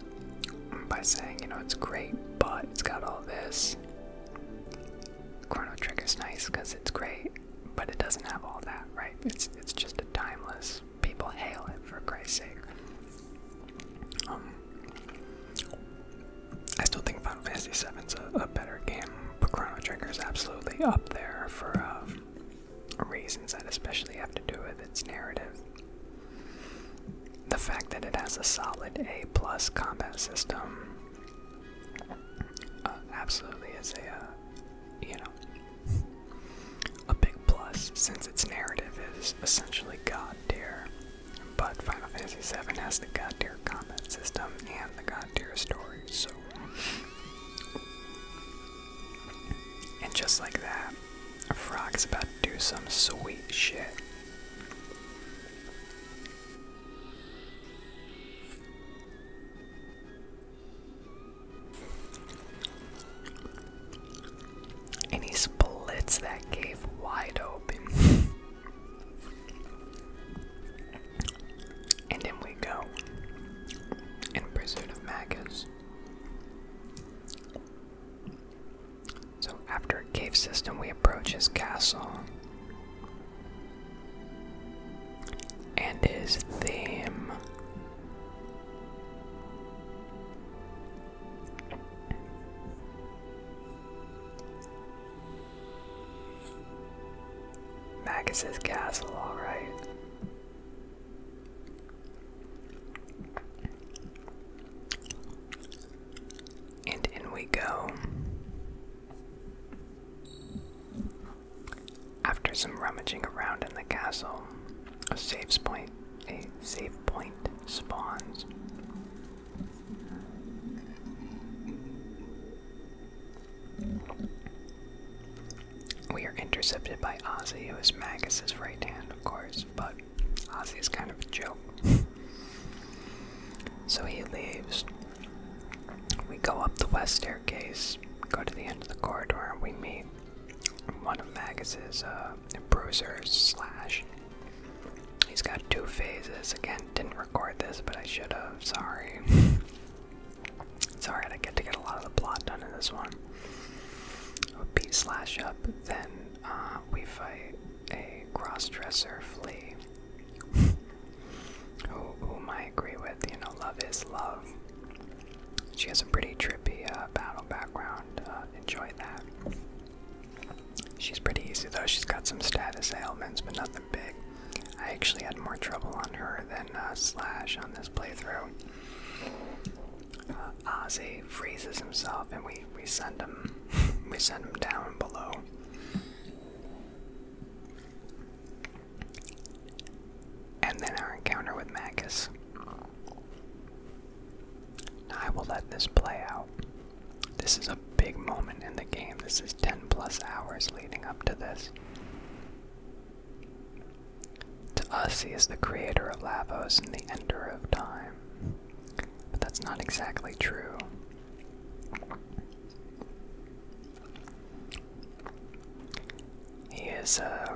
by saying, you know, it's great, but it's got all this. Chrono Trigger's nice because it's great, but it doesn't have all that, right? It's, it's just a timeless people hail it for Christ's sake. Um, I still think Final Fantasy VII's a, a better game. But Chrono Trigger is absolutely up there for um, reasons that especially have to do with its narrative. The fact that it has a solid A plus combat system uh, absolutely is a uh, you know a big plus, since its narrative is essentially God tier. But Final Fantasy VII has the God tier combat system and the God tier story, so. And just like that, frog's about to do some sweet shit. And he splits that cave wide open. and then we go in pursuit of Magus. So, after a cave system, we approach his castle. And his theme Magus's castle, alright. And in we go. After some rummaging around in the castle, a saves point. A save point spawns. We are intercepted by Ozzy, who is Magus's right hand, of course, but Ozzy is kind of a joke. so he leaves. We go up the west staircase, go to the end of the corridor, and we meet one of Magus's uh, bruisers slash. He's got two phases. Again, didn't record this, but I should have. Sorry. it's alright, I get to get a lot of the plot done in this one. P slash up, then uh, we fight a cross-dresser flea. who, whom I agree with, you know, love is love. She has a pretty trippy uh, battle background. Uh, enjoy that. She's pretty easy though. She's got some status ailments, but nothing big. I actually had more trouble on her than uh, Slash on this playthrough. Ozzy freezes himself, and we we send him we send him down below. And then our encounter with Magus. I will let this play out. This is a big moment in the game. This is 10 plus hours leading up to this. To us, he is the creator of Lavos and the ender of time. But that's not exactly true. He is, a. Uh,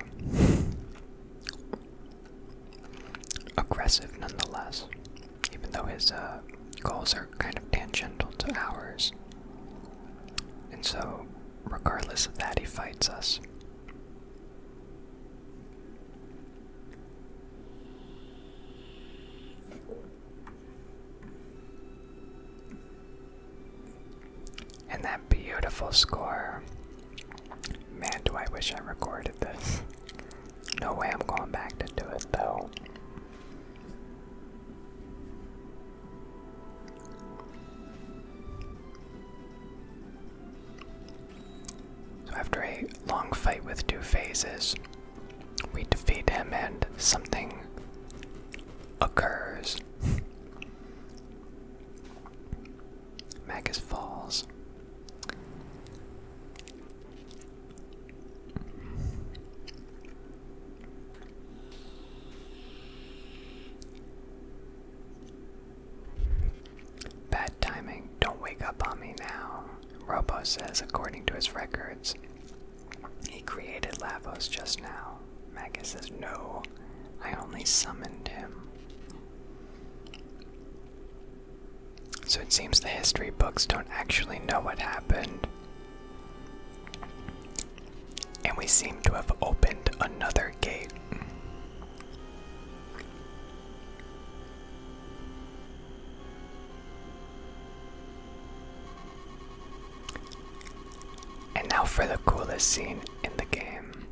aggressive nonetheless, even though his uh, goals are kind of tangential to ours. And so, regardless of that, he fights us. And that beautiful score. Man, do I wish I recorded this. No way I'm going back to do it though. So, after a long fight with two phases, we defeat him and something occurs. Magus Falls. Bad timing. Don't wake up on me now. Robo says, according to his records, he created Lavos just now. Magus says, no, I only summoned him. So it seems the history books don't actually know what happened. And we seem to have opened another gate. And now for the coolest scene in the game.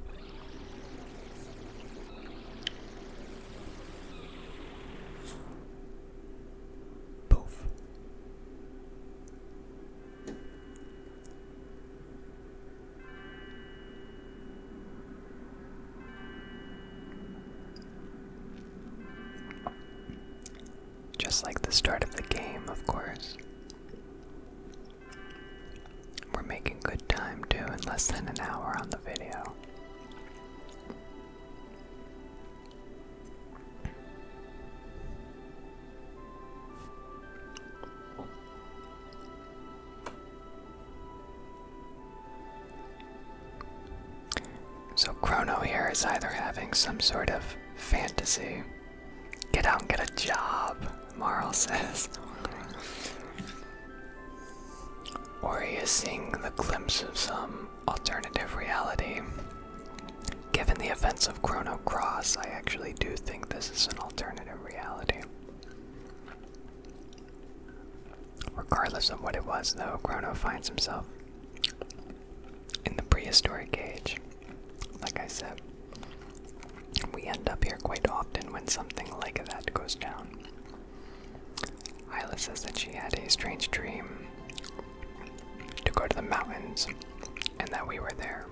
Poof. Just like the start of the game, of course. We're making good time doing less than an hour on the video. So, Chrono here is either having some sort of fantasy. Get out and get a job, Marl says. Or he is seeing the glimpse of some alternative reality. Given the events of Chrono Cross, I actually do think this is an alternative reality. Regardless of what it was, though, Chrono finds himself in the prehistoric age, like I said. We end up here quite often when something like that goes down. Isla says that she had a strange dream to go to the mountains and that we were there.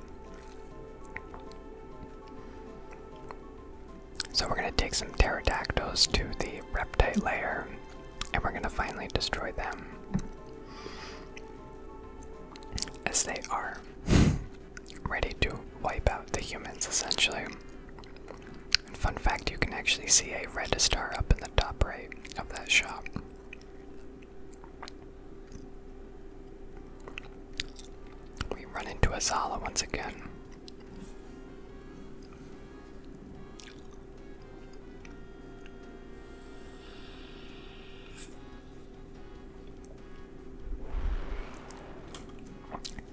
So we're going to take some pterodactyls to the reptile layer and we're going to finally destroy them as they are ready to wipe out the humans essentially. And fun fact you can actually see a red star up in the top right of that shop. We run into Azala once again.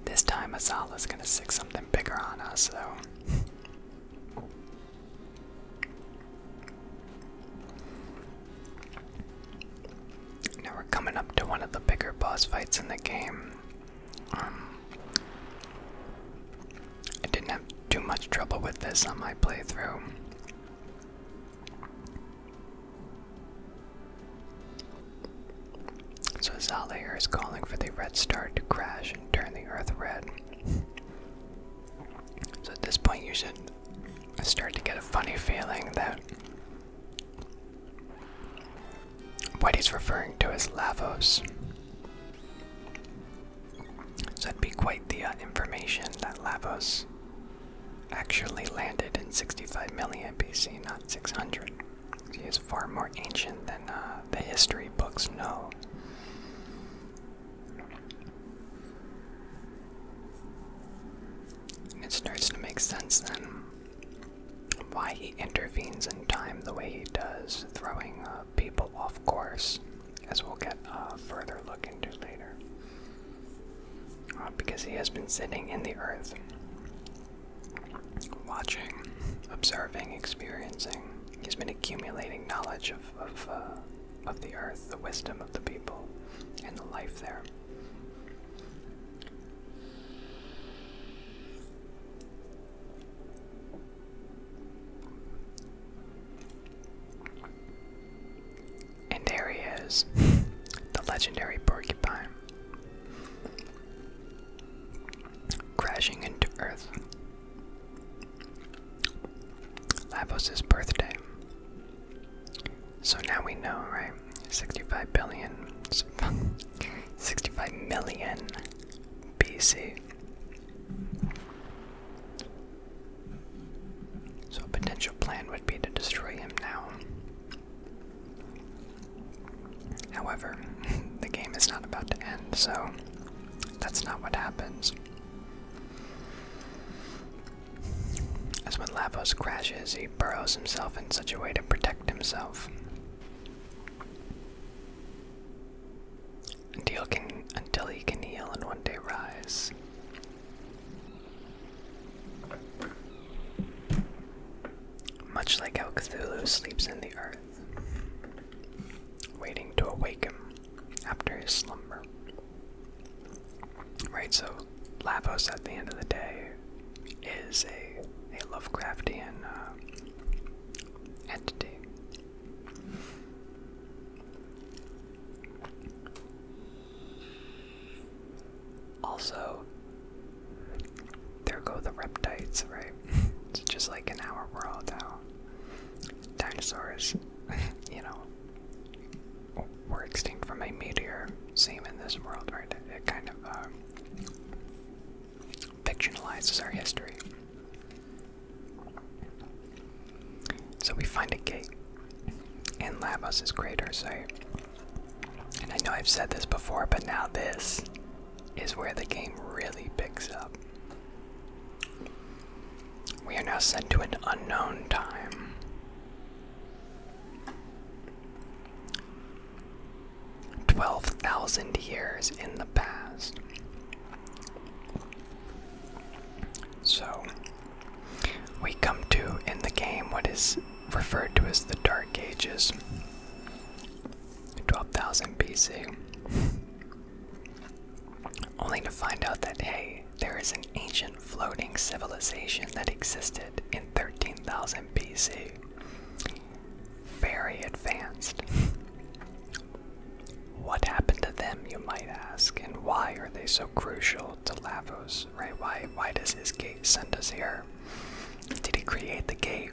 This time Azala is gonna sick something bigger on us though. now we're coming up to one of the bigger boss fights in the game. Um, I didn't have too much trouble with this on my playthrough. So Zalair is calling for the red star to crash and turn the earth red. So at this point, you should start to get a funny feeling that what he's referring to is Lavos. So it'd be quite the uh, information that Lavos actually landed in 65 million BC, not 600. He is far more ancient than uh, the history books know. it starts to make sense then why he intervenes in time the way he does, throwing uh, people off course, as we'll get a uh, further look into later. because he has been sitting in the earth watching, observing, experiencing. He's been accumulating knowledge of uh, of, the earth, the wisdom of the people, and the life there. And there he is, the legendary porcupine crashing into Earth. Labos' birthday. So now we know, right? 65 billion, 65 million BC. So a potential plan would be to destroy him now However, the game is not about to end, so that's not what happens. As when Lavos crashes, he burrows himself in such a way to protect himself. Until, can, until he can heal and one day rise. Much like how Cthulhu sleeps in the earth, waiting to awake him after his slumber. Right, so Lavos at the end of the day is a, a Lovecraftian uh, entity. Also, there go the reptites, right? it's just like in our world now. Dinosaurs, you know, were extinct from a meteor. Same in this world, right? It, kind of uh, fictionalizes our history. So we find a gate in Labos's crater site. And I know I've said this before, but now this is where the game really picks up. We are now sent to an unknown time. Twelve thousand years in the past. So, we come to in the game what is referred to as the Dark Ages, 12,000 BC, only to find out that, hey, there is an ancient floating civilization that existed in 13,000 BC. Very advanced. What happened to them, you might ask, and why are they so crucial to Lavos? right? Why why does his gate send us here? Did he create the gate?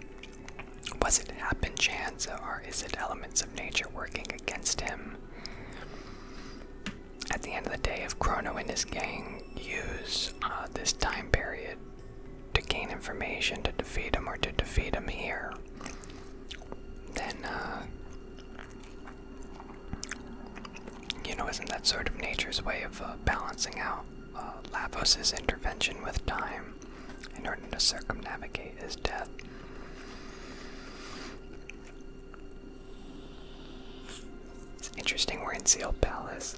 Was it happen chance or is it elements of nature working against him? At the end of the day, if Chrono and his gang use uh, this time period to gain information to defeat him or to defeat him here, then, uh, you know, isn't that sort of nature's way of uh, balancing out uh, Lavos's intervention with time in order to circumnavigate his death. It's interesting we're in Seal Palace.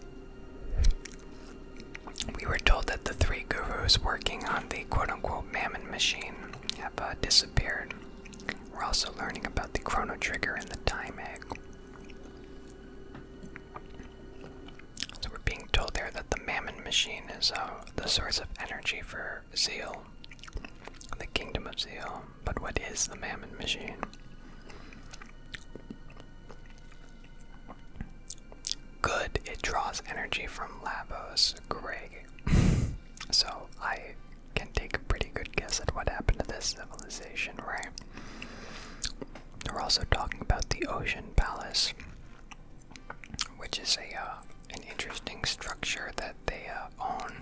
We were told that the three gurus working on the quote unquote mammon machine have uh, disappeared. We're also learning about the chrono trigger and the time egg. So we're being told there that the Mammon machine is uh, the source of energy for Zeal, the kingdom of Zeal. But what is the Mammon machine? Good, it draws energy from Labos Greg. so I can take a pretty good guess at what happened to this civilization, right? We're also talking about the Ocean Palace, which is a uh, an interesting structure that they uh, own.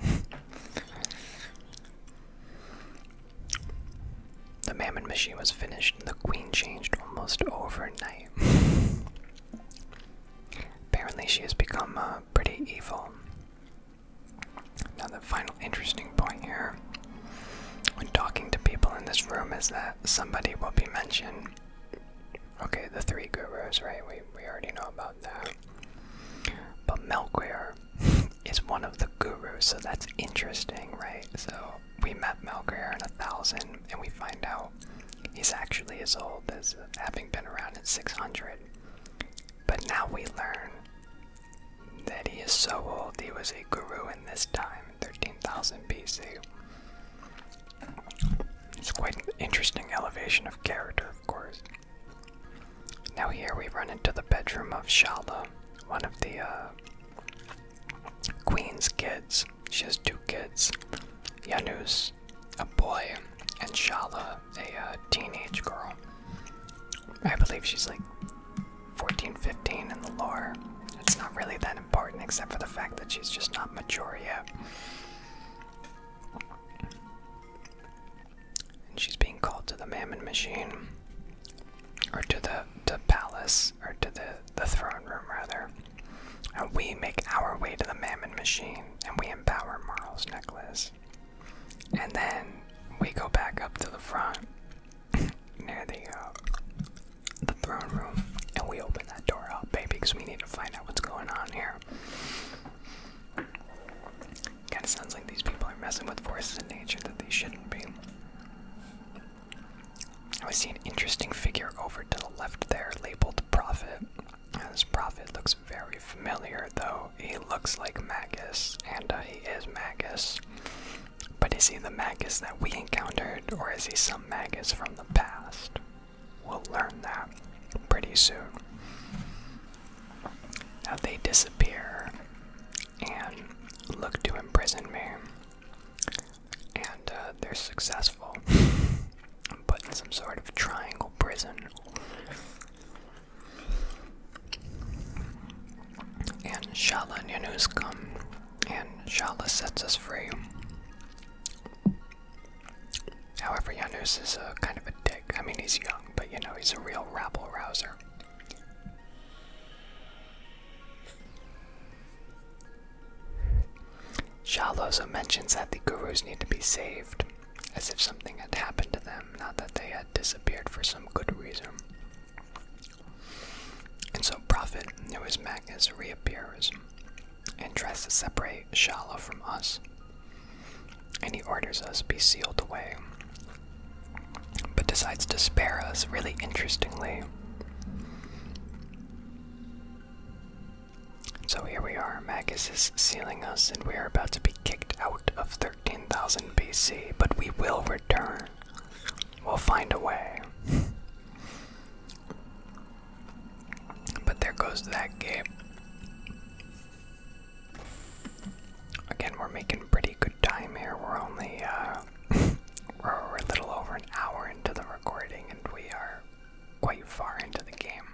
the Mammon machine was finished, and the Queen changed almost overnight. Apparently, she has become uh, pretty evil. Now, the final interesting point here when talking to people in this room is that somebody will be mentioned. Okay, the three gurus, right? We, we already know about that. But Melquire is one of the gurus, so that's interesting, right? So we met Melquire in a thousand, and we find out he's actually as old as having been around in 600. But now we learn that he is so old he was a guru in this time, 13,000 BC. It's quite an interesting elevation of character, of course. Now, here we run into the bedroom of Shala, one of the uh, queen's kids. She has two kids Yanus, a boy, and Shala, a uh, teenage girl. I believe she's like Fourteen, fifteen, 15 in the lore. It's not really that important except for the fact that she's just not mature yet. And she's being called to the Mammon Machine. Or to the to palace, or to the, the throne room rather. And we make our way to the Mammon Machine, and we empower Marl's necklace. And then we go back up to the front near the the throne room, and we open that door up, baby, because we need to find out what's going on here. Kind of sounds like these people are messing with forces in nature that they shouldn't be. I see an interesting figure over to the left there, labeled Prophet. This Prophet looks very familiar, though. He looks like Magus, and uh, he is Magus. But is he the Magus that we encountered, or is he some Magus from the past? We'll learn that pretty soon. Now they disappear and look to imprison me, and uh, they're successful. i in some sort of triangle prison and Shala Nanus come, and Shala sets us free. However, Yanus is a kind of a dick. I mean, he's young, but you know, he's a real rabble rouser. Shaloza mentions that the gurus need to be saved, as if something had happened to them, not that they had disappeared for some good reason. And so Prophet knew his Magnus reappears and tries to separate Shala from us. And he orders us be sealed away, but decides to spare us really interestingly. So here we are, Magus is sealing us, and we are about to be kicked out of 13,000 BC, but we will return. We'll find a way. but there goes that gate. Again, we're making pretty good time here. We're only, uh, we're, a little over an hour into the recording and we are quite far into the game.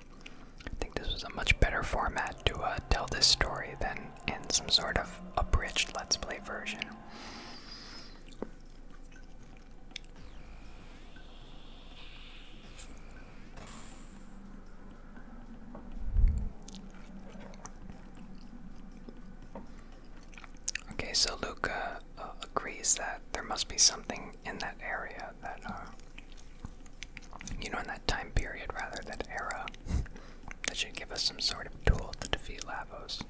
I think this was a much better format to uh, tell this story than in some sort of abridged Let's Play version. Okay, so Luca uh, agrees that there must be something in that area that, uh, you know, in that time period rather, that era that should give us some sort of tool to defeat Lavos.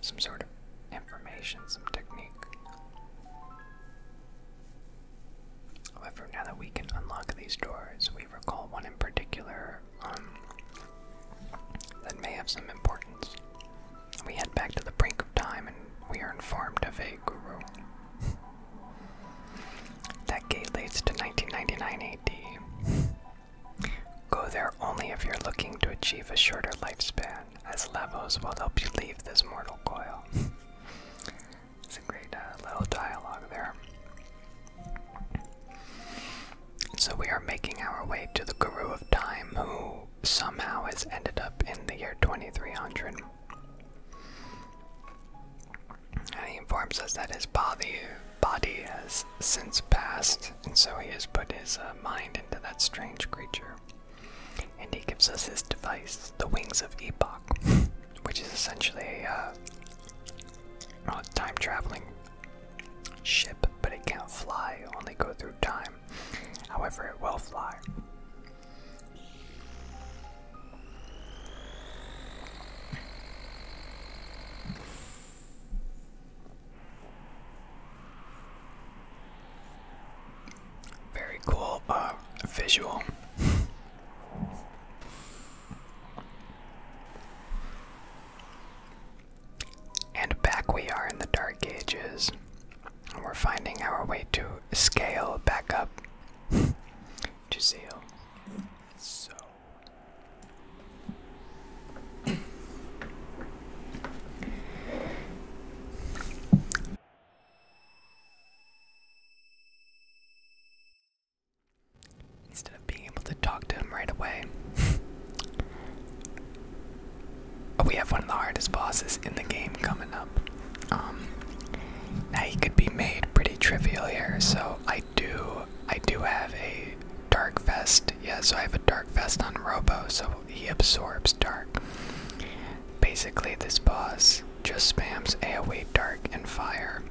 Some sort of information, some technique. However, now that we can unlock these doors, we recall one in particular um, that may have some importance. We head back to the brink of time and we are informed of a guru. that gate leads to 1999 AD. Go there only if you're looking to achieve a shorter lifespan, as levels will help you leave this mortal coil. it's a great uh, little dialogue there. So we are making our way to the Guru of Time, who somehow has ended up in the year 2300. And he informs us that his body, body has since passed and so he has put his uh, mind into that strange creature. And he gives us his device, the Wings of Epoch, which is essentially a uh, time traveling ship, but it can't fly, only go through time. However, it will fly. Very cool uh, visual. and back we are in the Dark Ages. And we're finding our way to scale back up to zeal. So Instead of being able to talk to him right away. Oh, we have one of the hardest bosses in the game coming up. Um, now he could be made pretty trivial here, so I do I do have a dark vest. Yeah, so I have a dark vest on Robo, so he absorbs dark. Basically, this boss just spams AoE, dark, and fire.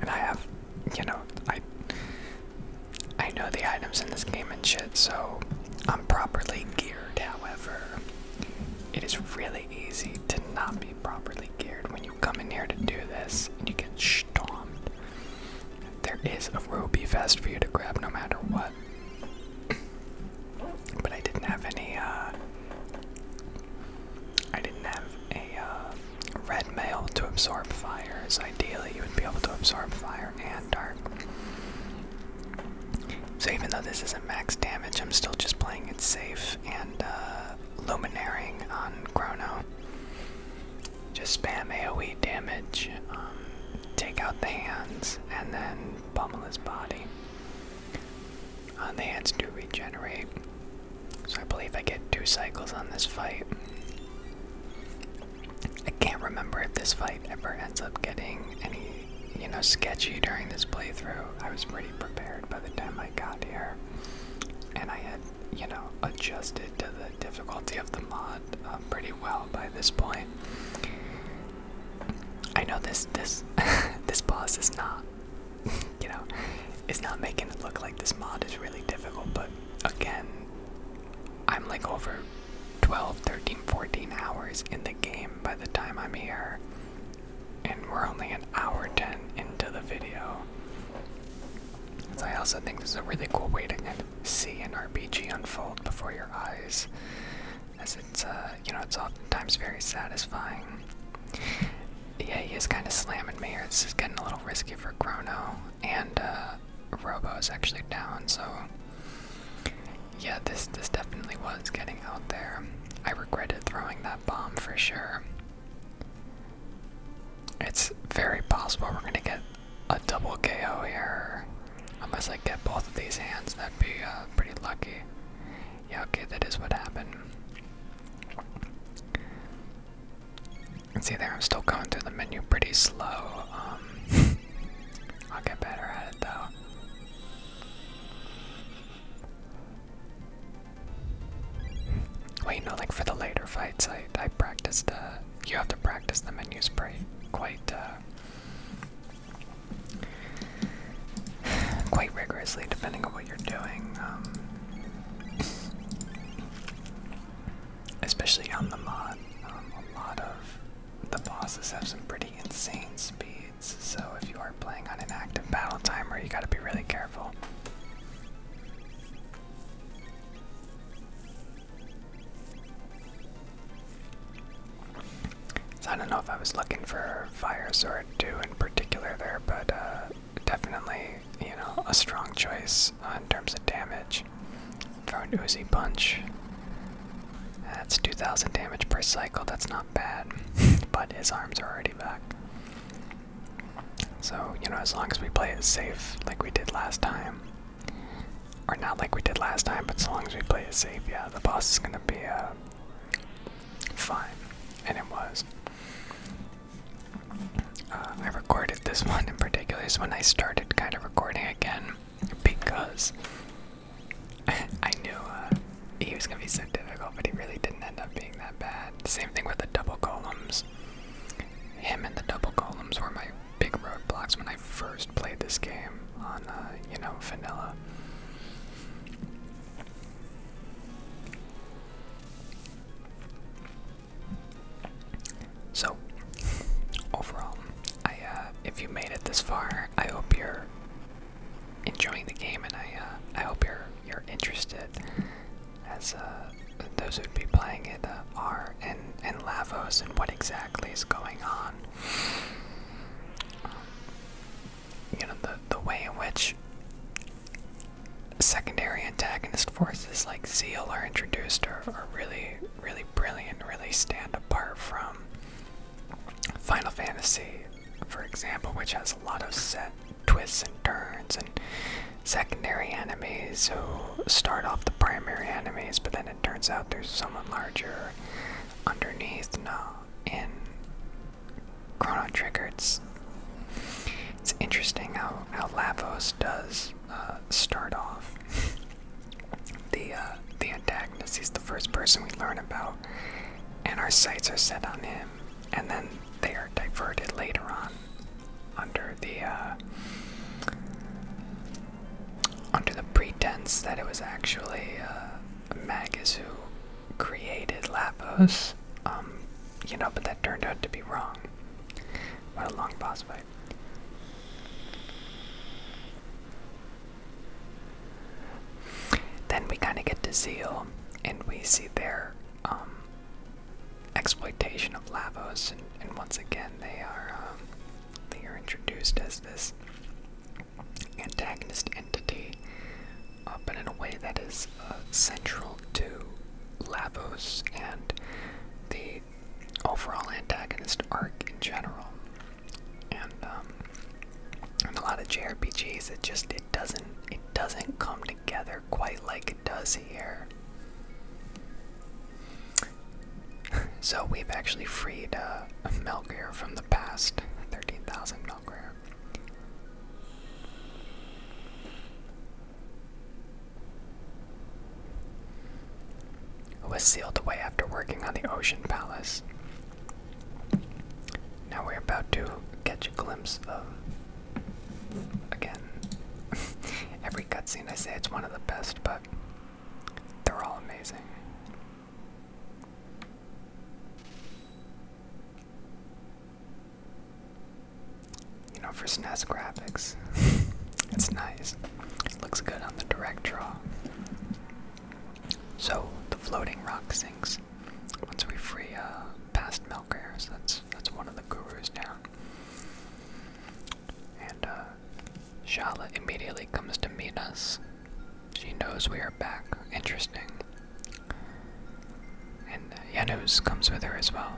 And I have, you know, I I know the items in this game and shit, so I'm properly geared. However, it is really easy to not be properly geared when you come in here to do this and you get stomped. There is a Ruby vest for you to grab no matter what. but I didn't have any, uh, I didn't have a uh, red mail to absorb fires. Ideally, you would be able to absorb fire and dark. So, even though this isn't max damage, I'm still just playing it safe and uh, on Chrono just spam AoE damage, um, take out the hands, and then pummel his body. On uh, the hands to regenerate, so I believe I get two cycles on this fight. I can't remember if this fight ever ends up getting any, you know, sketchy during this playthrough. I was pretty prepared by the time I got here, and I had you know, adjusted to the difficulty of the mod um, pretty well by this point. I know this this this boss is not, you know, it's not making it look like this mod is really difficult, but again, I'm like over 12, 13, 14 hours in the game by the time I'm here. And we're only an hour 10 into the video. I also think this is a really cool way to kind see an RPG unfold before your eyes, as it's uh, you know it's oftentimes very satisfying. Yeah, he is kind of slamming me here. This is getting a little risky for Chrono, and uh, Robo is actually down. So yeah, this this definitely was getting out there. I regretted throwing that bomb for sure. It's very possible we're gonna get a double KO here. Unless I get both of these hands, that'd be uh, pretty lucky. Yeah, okay, that is what happened. see there, I'm still going through the menu pretty slow. Um, I'll get better at it though. Wait, no, like for the later fights, I I practiced uh, you have to practice the menus pretty, quite uh, quite rigorously, depending on what you're doing. Um, especially on the mod, um, a lot of the bosses have some pretty insane speeds. So if you are playing on an active battle timer, you got to be really careful. I don't know if I was looking for Fire Sword 2 in particular there, but uh, definitely, you know, a strong choice in terms of damage for an Uzi Punch. That's 2,000 damage per cycle, that's not bad, but his arms are already back. So, you know, as long as we play it safe like we did last time, or not like we did last time, but so long as we play it safe, yeah, the boss is gonna be uh, fine. And it was. Uh, I recorded this one in particular, is when I started kind of recording again because I knew uh, he was gonna be so difficult, but he really didn't end up being that bad. Same thing with the double columns. Him and the double columns were my big roadblocks when I first played this game on, uh, you know, vanilla. So, overall, I, uh, if you made it this far, I hope you're enjoying the game, and I, uh, I hope you're you're interested as uh, those who'd be playing it uh, are, and, and Lavos, and what exactly is going on. Um, you know, the, the way in which secondary antagonist forces like Zeal are introduced are, are really, really brilliant, really stand apart from Final Fantasy, for example, which has a lot of set twists and turns and secondary enemies who start off the primary enemies, but then it turns out there's someone larger underneath. No, in Chrono Trigger, it's, it's interesting how, how Lavos does uh, start off the, uh, the antagonist. He's the first person we learn about, and our sights are set on him, and then they are diverted later on under the uh, under the pretense that it was actually uh, Magus who created Lapos. Um, you know, but that turned out to be wrong. What a long boss fight. Then we kind of get to Zeal, and we see their um, exploitation of Lavos, and, once again they are um, they are introduced as this antagonist entity, uh, but in a way that is uh, central to Lavos and the overall antagonist arc in general. And um, in a lot of JRPGs, it just it doesn't it doesn't come together quite like it does here. so we've actually freed uh, from the past. 13,000 Melgear. It was sealed away after working on the Ocean Palace. Now we're about to catch a glimpse of. Again, every cutscene I say it's one of the best, but they're all amazing. You know, for SNES graphics, it's nice. It looks good on the direct draw. So the floating rock sinks once we free uh, past Melkor. that's that's one of the gurus down. And uh, Shala immediately comes to meet us. She knows we are back. Interesting. And Janus uh, comes with her as well.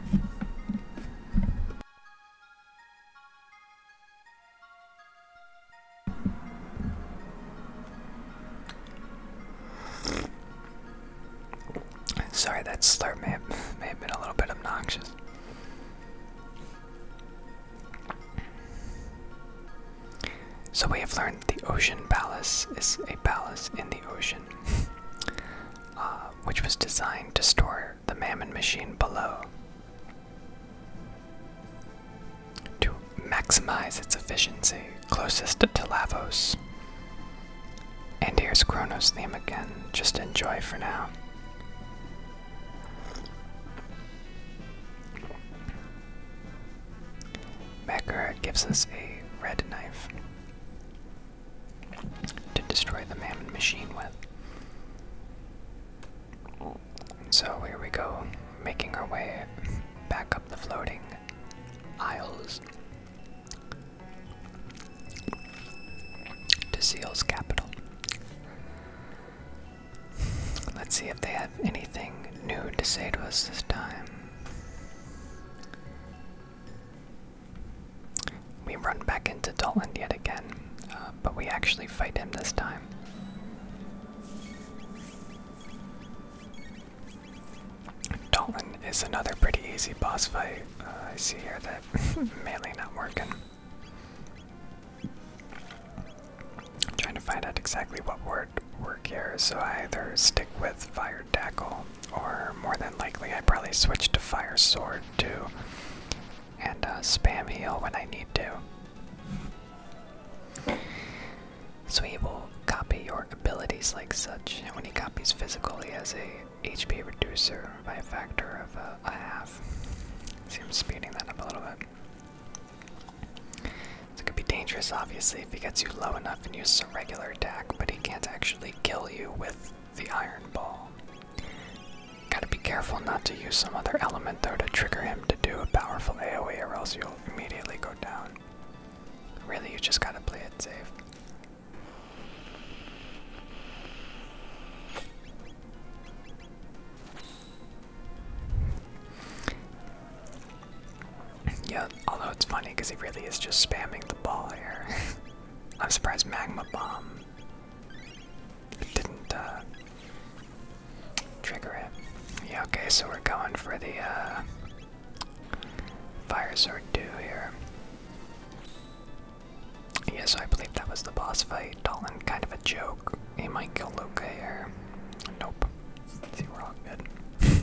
Sorry, that slur may have been a little bit obnoxious. So we have learned that the Ocean Palace is a palace in the ocean, uh, which was designed to store the Mammon machine below to maximize its efficiency closest to Lavos. And here's Kronos theme again, just enjoy for now. Macker gives us a red knife to destroy the mammon machine with. so here we go, making our way back up the floating aisles to Seal's capital. Let's see if they have anything new to say to us this time. We run back into Dalton yet again, uh, but we actually fight him this time. Dalton is another pretty easy boss fight. Uh, I see here that mainly not working. I'm trying to find out exactly what word work here, so I either stick with fire tackle, or more than likely, I probably switch to fire sword too, and uh, spam heal when I need to. So he will copy your abilities like such, and when he copies physical, he has a HP reducer by a factor of uh, a half. Seems speeding that up a little bit. it could be dangerous, obviously, if he gets you low enough and uses a regular attack, but he can't actually kill you with the iron ball. Gotta be careful not to use some other element, though, to trigger him to do a powerful AoE, or else you'll immediately go down. Really, you just gotta play it safe. Yeah, although it's funny because he really is just spamming the ball here. I'm surprised Magma Bomb didn't uh, trigger it. Yeah, okay, so we're going for the uh, Fire Sword 2 here. Yes, I believe that was the boss fight. Dalton, kind of a joke. He might kill Luca here. Nope. See, we're all good.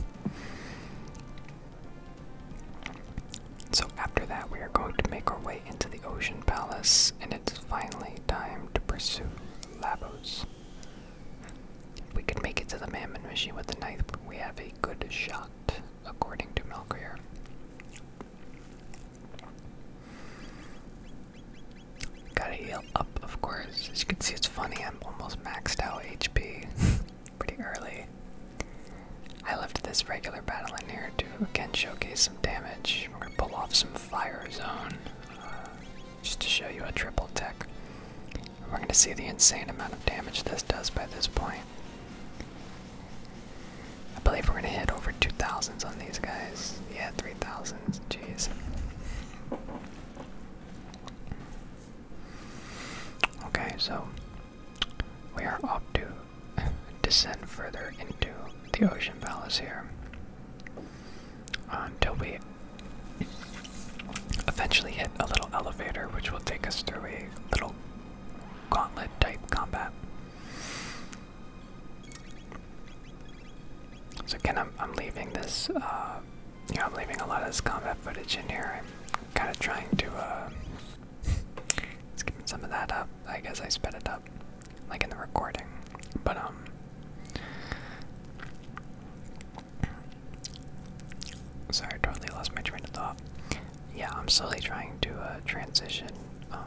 so after that, we are going to make our way into the Ocean Palace, and it's finally time to pursue Labos. If we can make it to the Mammon Machine with the knife, we have a good shot, according to Melkier. Gotta heal up, of course. As you can see, it's funny, I'm almost maxed out HP pretty early. I left this regular battle in here to again showcase some damage. We're gonna pull off some fire zone uh, just to show you a triple tech. we're gonna see the insane amount of damage this does by this point. I believe we're gonna hit over 2,000s on these guys. Yeah, 3,000s. Jeez. Okay, so we are up to descend further into the ocean palace here until we eventually hit a little elevator which will take us through a little gauntlet type combat so again, I'm, leaving this, uh, you know, I'm leaving a lot of this combat footage in here. I'm kind of trying to, uh, some of that up. I guess I sped it up, like in the recording. But, um, sorry, I totally lost my train of thought. Yeah, I'm slowly trying to, uh, transition, um,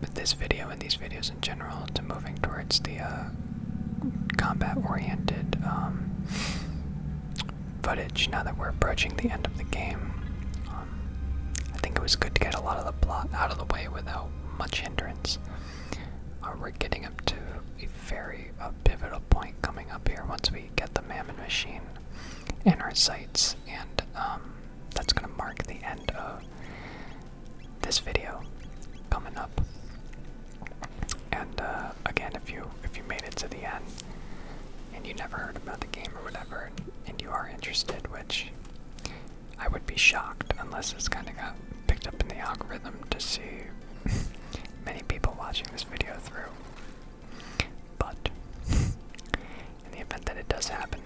with this video and these videos in general to moving towards the uh, combat-oriented um, footage now that we're approaching the end of the game. Um, I think it was good to get a lot of the plot out of the way without much hindrance. Uh, we're getting up to a very uh, pivotal point coming up here once we get the Mammon Machine. And our sights, and um, that's going to mark the end of this video coming up. And uh, again, if you if you made it to the end and you never heard about the game or whatever, and, and you are interested, which I would be shocked unless it's kind of got picked up in the algorithm to see many people watching this video through. But in the event that it does happen.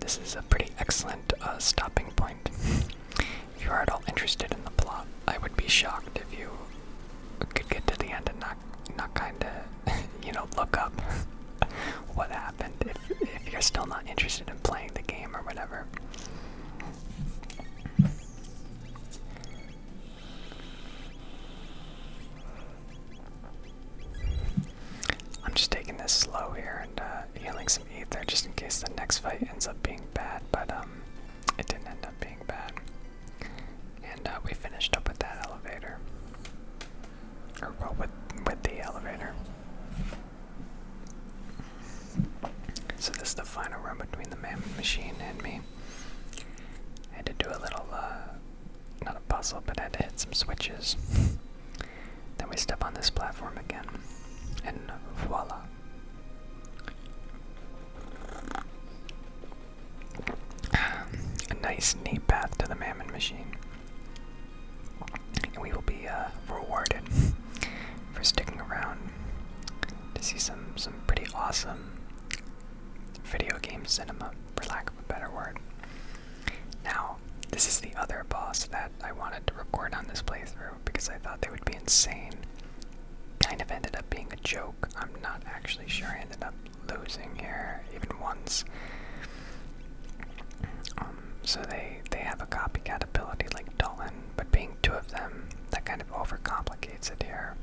This is a pretty excellent uh, stopping point. if you are at all interested in the plot, I would be shocked if you could get to the end and not, not kinda, you know, look up what happened if, if you're still not interested in playing the game or whatever. I'm just taking this slow here and uh, healing some ether just in case the next fight ends up being bad, but um, it didn't end up being bad. And uh, we finished up with that elevator. Or with, with the elevator. So this is the final run between the mammoth machine and me. I had to do a little uh, not a puzzle, but I had to hit some switches. then we step on this platform again, and voila. A nice, neat path to the Mammon Machine. And we will be uh, rewarded for sticking around to see some, some pretty awesome video game cinema for lack of a better word. Now, this is the other boss that I wanted to record on this playthrough because I thought they would be insane. Kind of ended up being a joke. I'm not actually sure. I ended up losing here even once. Um, so they they have a copycat ability like Dolan, but being two of them, that kind of overcomplicates it here.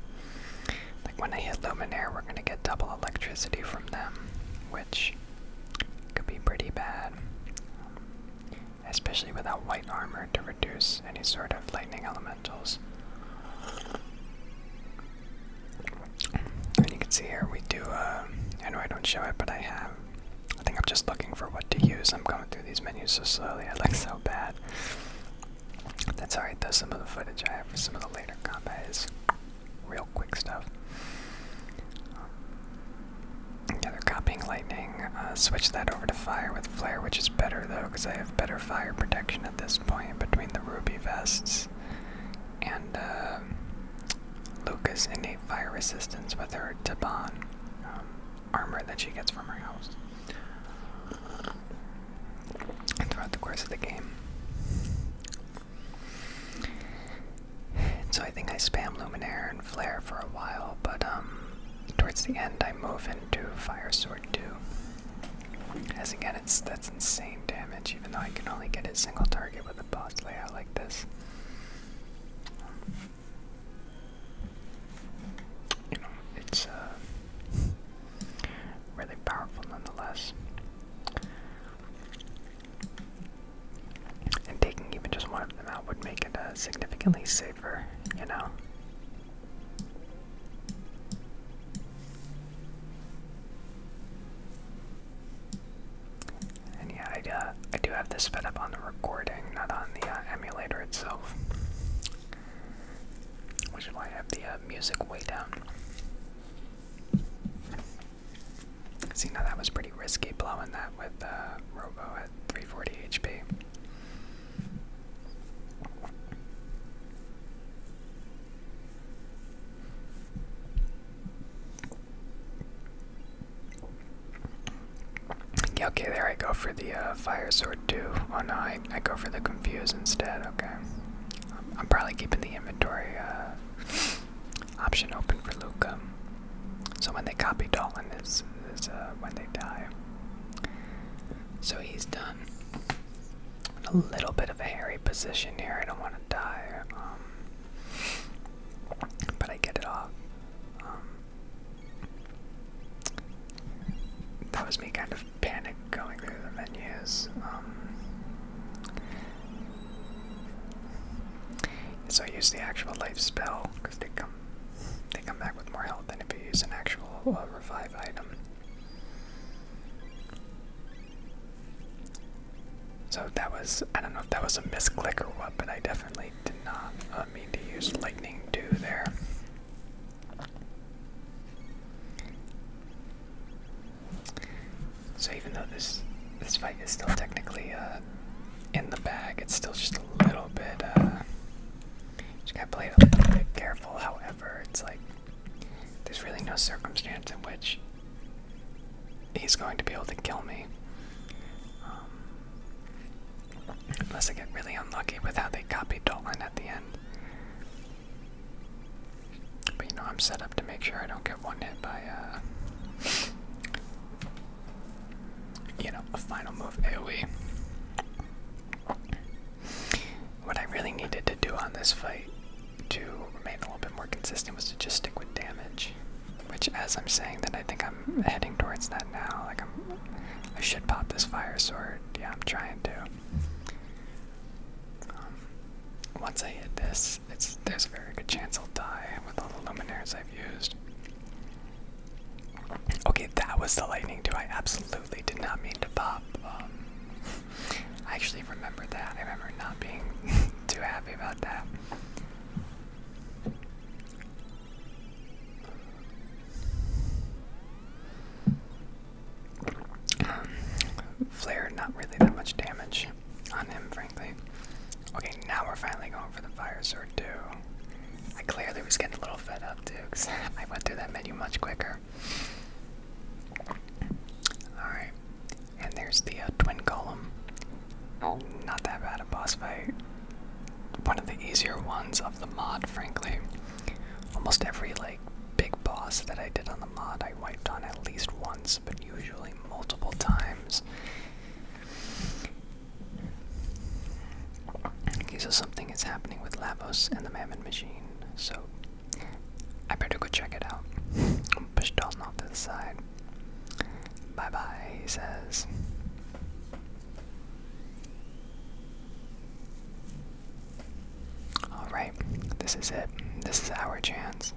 Like when I hit Luminaire, we're gonna get double electricity from them, which could be pretty bad. Especially without white armor to reduce any sort of lightning elementals. And you can see here we do, uh, I know I don't show it, but I have, I think I'm just looking for what to use. I'm going through these menus so slowly, I look so bad. That's alright though, some of the footage I have for some of the later combat real quick stuff. Um, yeah, they're copying lightning. Uh, switch that over to fire with flare, which is better though, because I have better fire protection at this point between the ruby vests and uh, Luca's innate fire resistance with her Taban um, armor that she gets from her house throughout the course of the game. So I think I spam Luminaire and Flare for a while, but um, towards the end I move into Fire Sword 2. As again, it's that's insane damage, even though I can only get a single target with a boss layout like this. it's uh, really powerful nonetheless. And taking even just one of them out would make it uh, significantly safer, you know? And yeah, I, uh, do have this sped up on the recording, not on the uh, emulator itself. Which is why I have the uh, music way down. See, now that was pretty risky blowing that with uh, Robo at 340 HP. okay, there I go for the uh, fire sword too. Oh no, I, I go for the confuse instead, okay. I'm, probably keeping the inventory uh, option open for Luke, So when they copy Dolan, is, is uh, when they die. So he's done. A little bit of a hairy position here. I don't want to die. Um, but I get it off. Um, that was me kind of panic going through the menus. Um, so I use the actual life spell because they come they come back with more health than if you use an actual uh, revive item. So that was, I don't know if that was a misclick or what, but I definitely did not uh, mean to use Lightning Dew there. So even though this this fight is still technically uh, in the bag, it's still just a little bit. just uh, gotta play a little bit careful. However, it's like there's really no circumstance in which he's going to be able to kill me. Um, unless I get really unlucky with how they copied Dolan at the end. But you know, I'm set up to make sure I don't get one hit by, uh, you know, a final move AoE. What I really needed to do on this fight to remain a little bit more consistent was to just stick with damage. Which, as I'm saying that, I think I'm heading towards that now. Like I'm, I should pop this fire sword. Yeah, I'm trying to. Um, once I hit this, it's there's a very good chance I'll die with all the luminaires I've used. Okay, that was the lightning too. I absolutely did not mean to pop. Um, I actually remember that. I remember not being too happy about that. Um, Flare, not really that much damage on him, frankly. Okay, now we're finally going for the fire sword too. I clearly was getting a little fed up too, because I went through that menu much quicker. Alright, and there's the uh, twin golem. Not that bad a boss fight. One of the easier ones of the mod, frankly. Almost every like big boss that I did on the on the I wiped on at least once, but usually multiple times. Okay, so something is happening with Lavos and the Mammon Machine, so I better go check it out. Push Dalton off to the side. Bye bye, he says. Alright, this is it. This is our chance.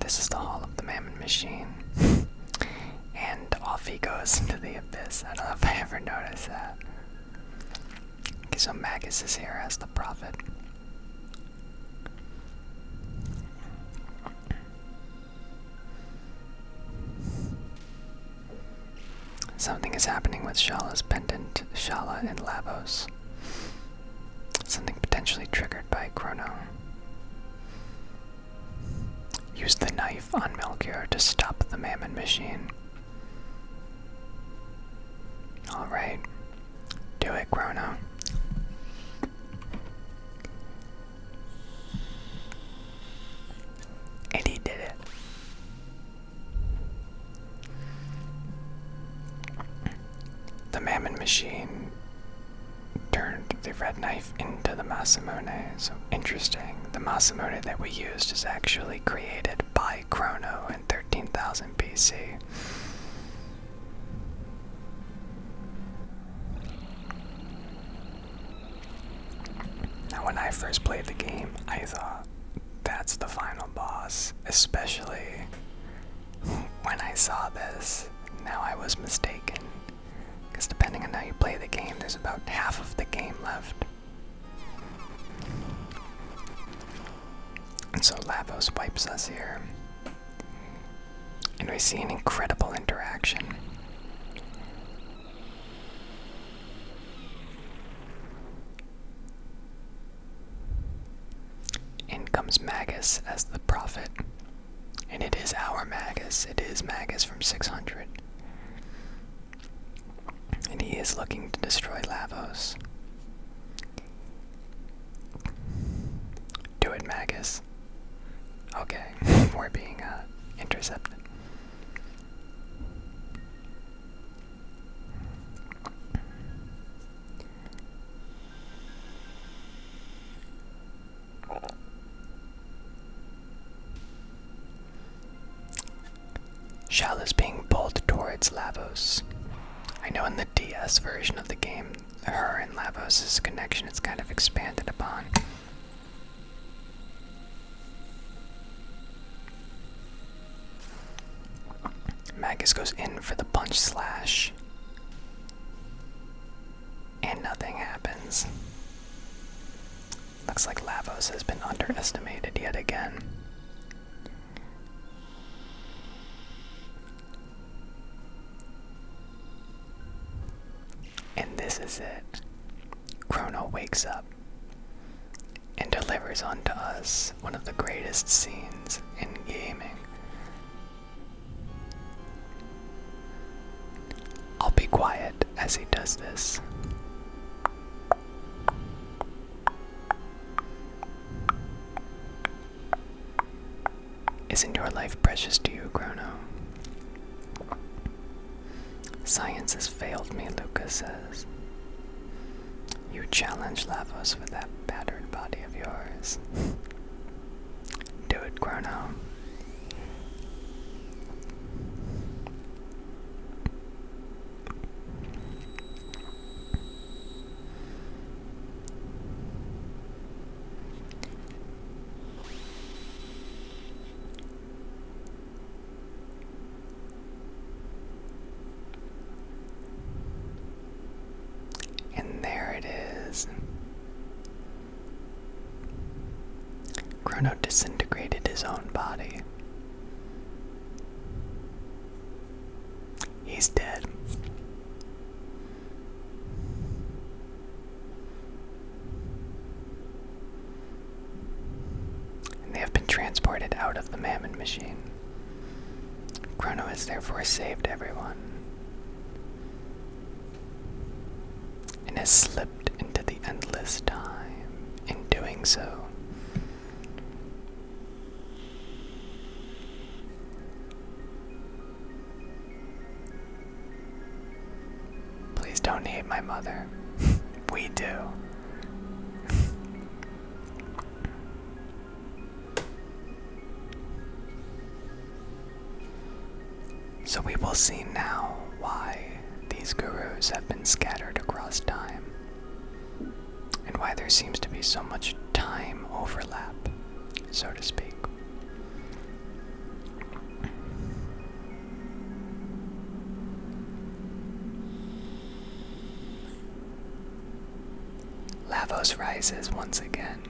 This is the Hall of the Mammon Machine. and off he goes into the abyss. I don't know if I ever noticed that. Okay, so Magus is here as the prophet. Something is happening with Shala's pendant, Shala and Lavos. Something potentially triggered by Chrono. Use the knife on Melchior to stop the Mammon machine. Alright. Do it, Grono. And he did it. The Mammon Machine turned the red knife into the Masamune. So interesting. The Masamune that we used is actually created by Chrono and 13,000 BC. Now, when I first played the game, I thought that's the final boss, especially when I saw this. Now, I was mistaken, because depending on how you play the game, there's about half of the game left. And so Lavos wipes us here. And we see an incredible interaction. In comes Magus as the prophet. And it is our Magus. It is Magus from 600. And he is looking to destroy Lavos. Do it, Magus. Okay, we're being uh, intercepted. Shell is being pulled towards Lavos. I know in the DS version of the game, her and Lavos' connection is kind of expanded upon. Magus goes in for the punch slash. And nothing happens. Looks like Lavos has been underestimated yet again. And this is it. Chrono wakes up and delivers unto us one of the greatest scenes in gaming. I'll be quiet as he does this. Isn't your life precious to you, Chrono? Science has failed me, Luca says. You challenge Lavos with that battered body of yours. Do it, Chrono. And there it is. Chrono disintegrated his own body. He's dead. And they have been transported out of the Mammon machine. Chrono has therefore saved everyone and has slipped into the endless time. In doing so, Please don't hate my mother. we do. so we will see now why these gurus have been scattered across time and why there seems to be so much time overlap, so to speak. Lavos rises once again,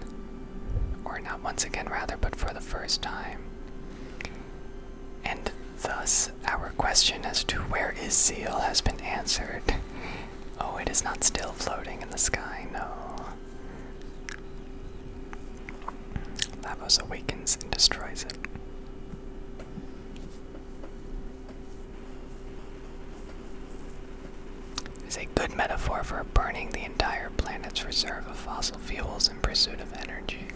or not once again, rather, but for the first time. And thus, our question as to where is Zeal has been answered. Oh, it is not still floating in the sky, no. Lavos awakens and destroys it. Is a good metaphor for burning the entire planet's reserve of fossil fuels in pursuit of energy.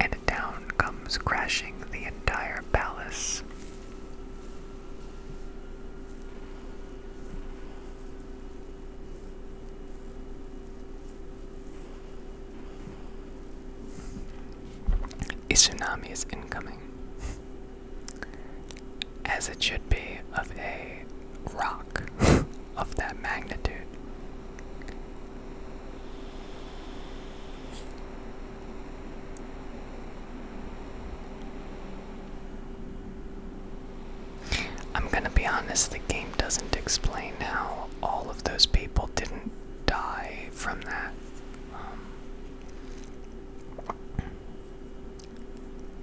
And down comes crashing the entire palace. A tsunami is incoming, as it should be, of a rock of that magnitude. I'm gonna be honest, the game doesn't explain how all of those people didn't die from that. Um,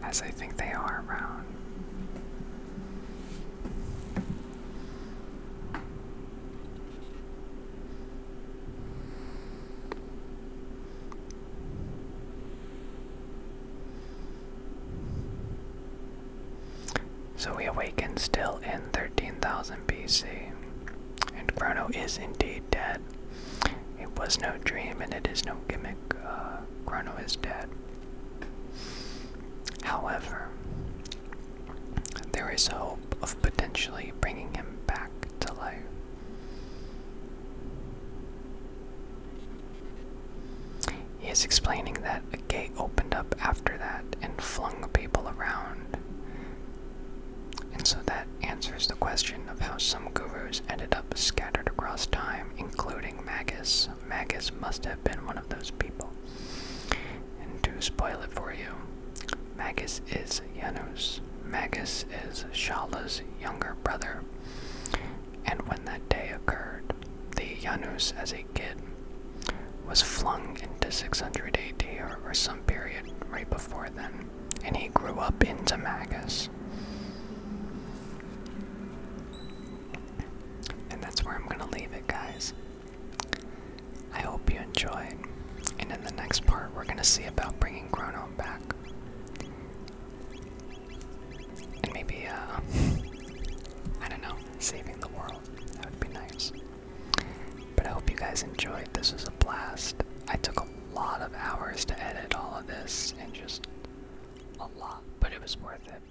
as I think they are around. So we awaken still in 13,000 BC, and Chrono is indeed dead. It was no dream and it is no gimmick. Uh, Chrono is dead. However, there is hope of potentially bringing him back to life. He is explaining that a gate opened up after that and flung people around. And so that answers the question of how some gurus ended up scattered across time, including Magus. Magus must have been one of those people. And to spoil it for you, Magus is Janus. Magus is Shala's younger brother. And when that day occurred, the Janus as a kid was flung into 600 AD or, some period right before then, and he grew up into Magus. And that's where I'm going to leave it, guys. I hope you enjoyed, and in the next part, we're going to see about bringing Chrono back. And maybe, uh, I don't know, saving the world. That would be nice. But I hope you guys enjoyed. This was a blast. I took a lot of hours to edit all of this, and just a lot, but it was worth it.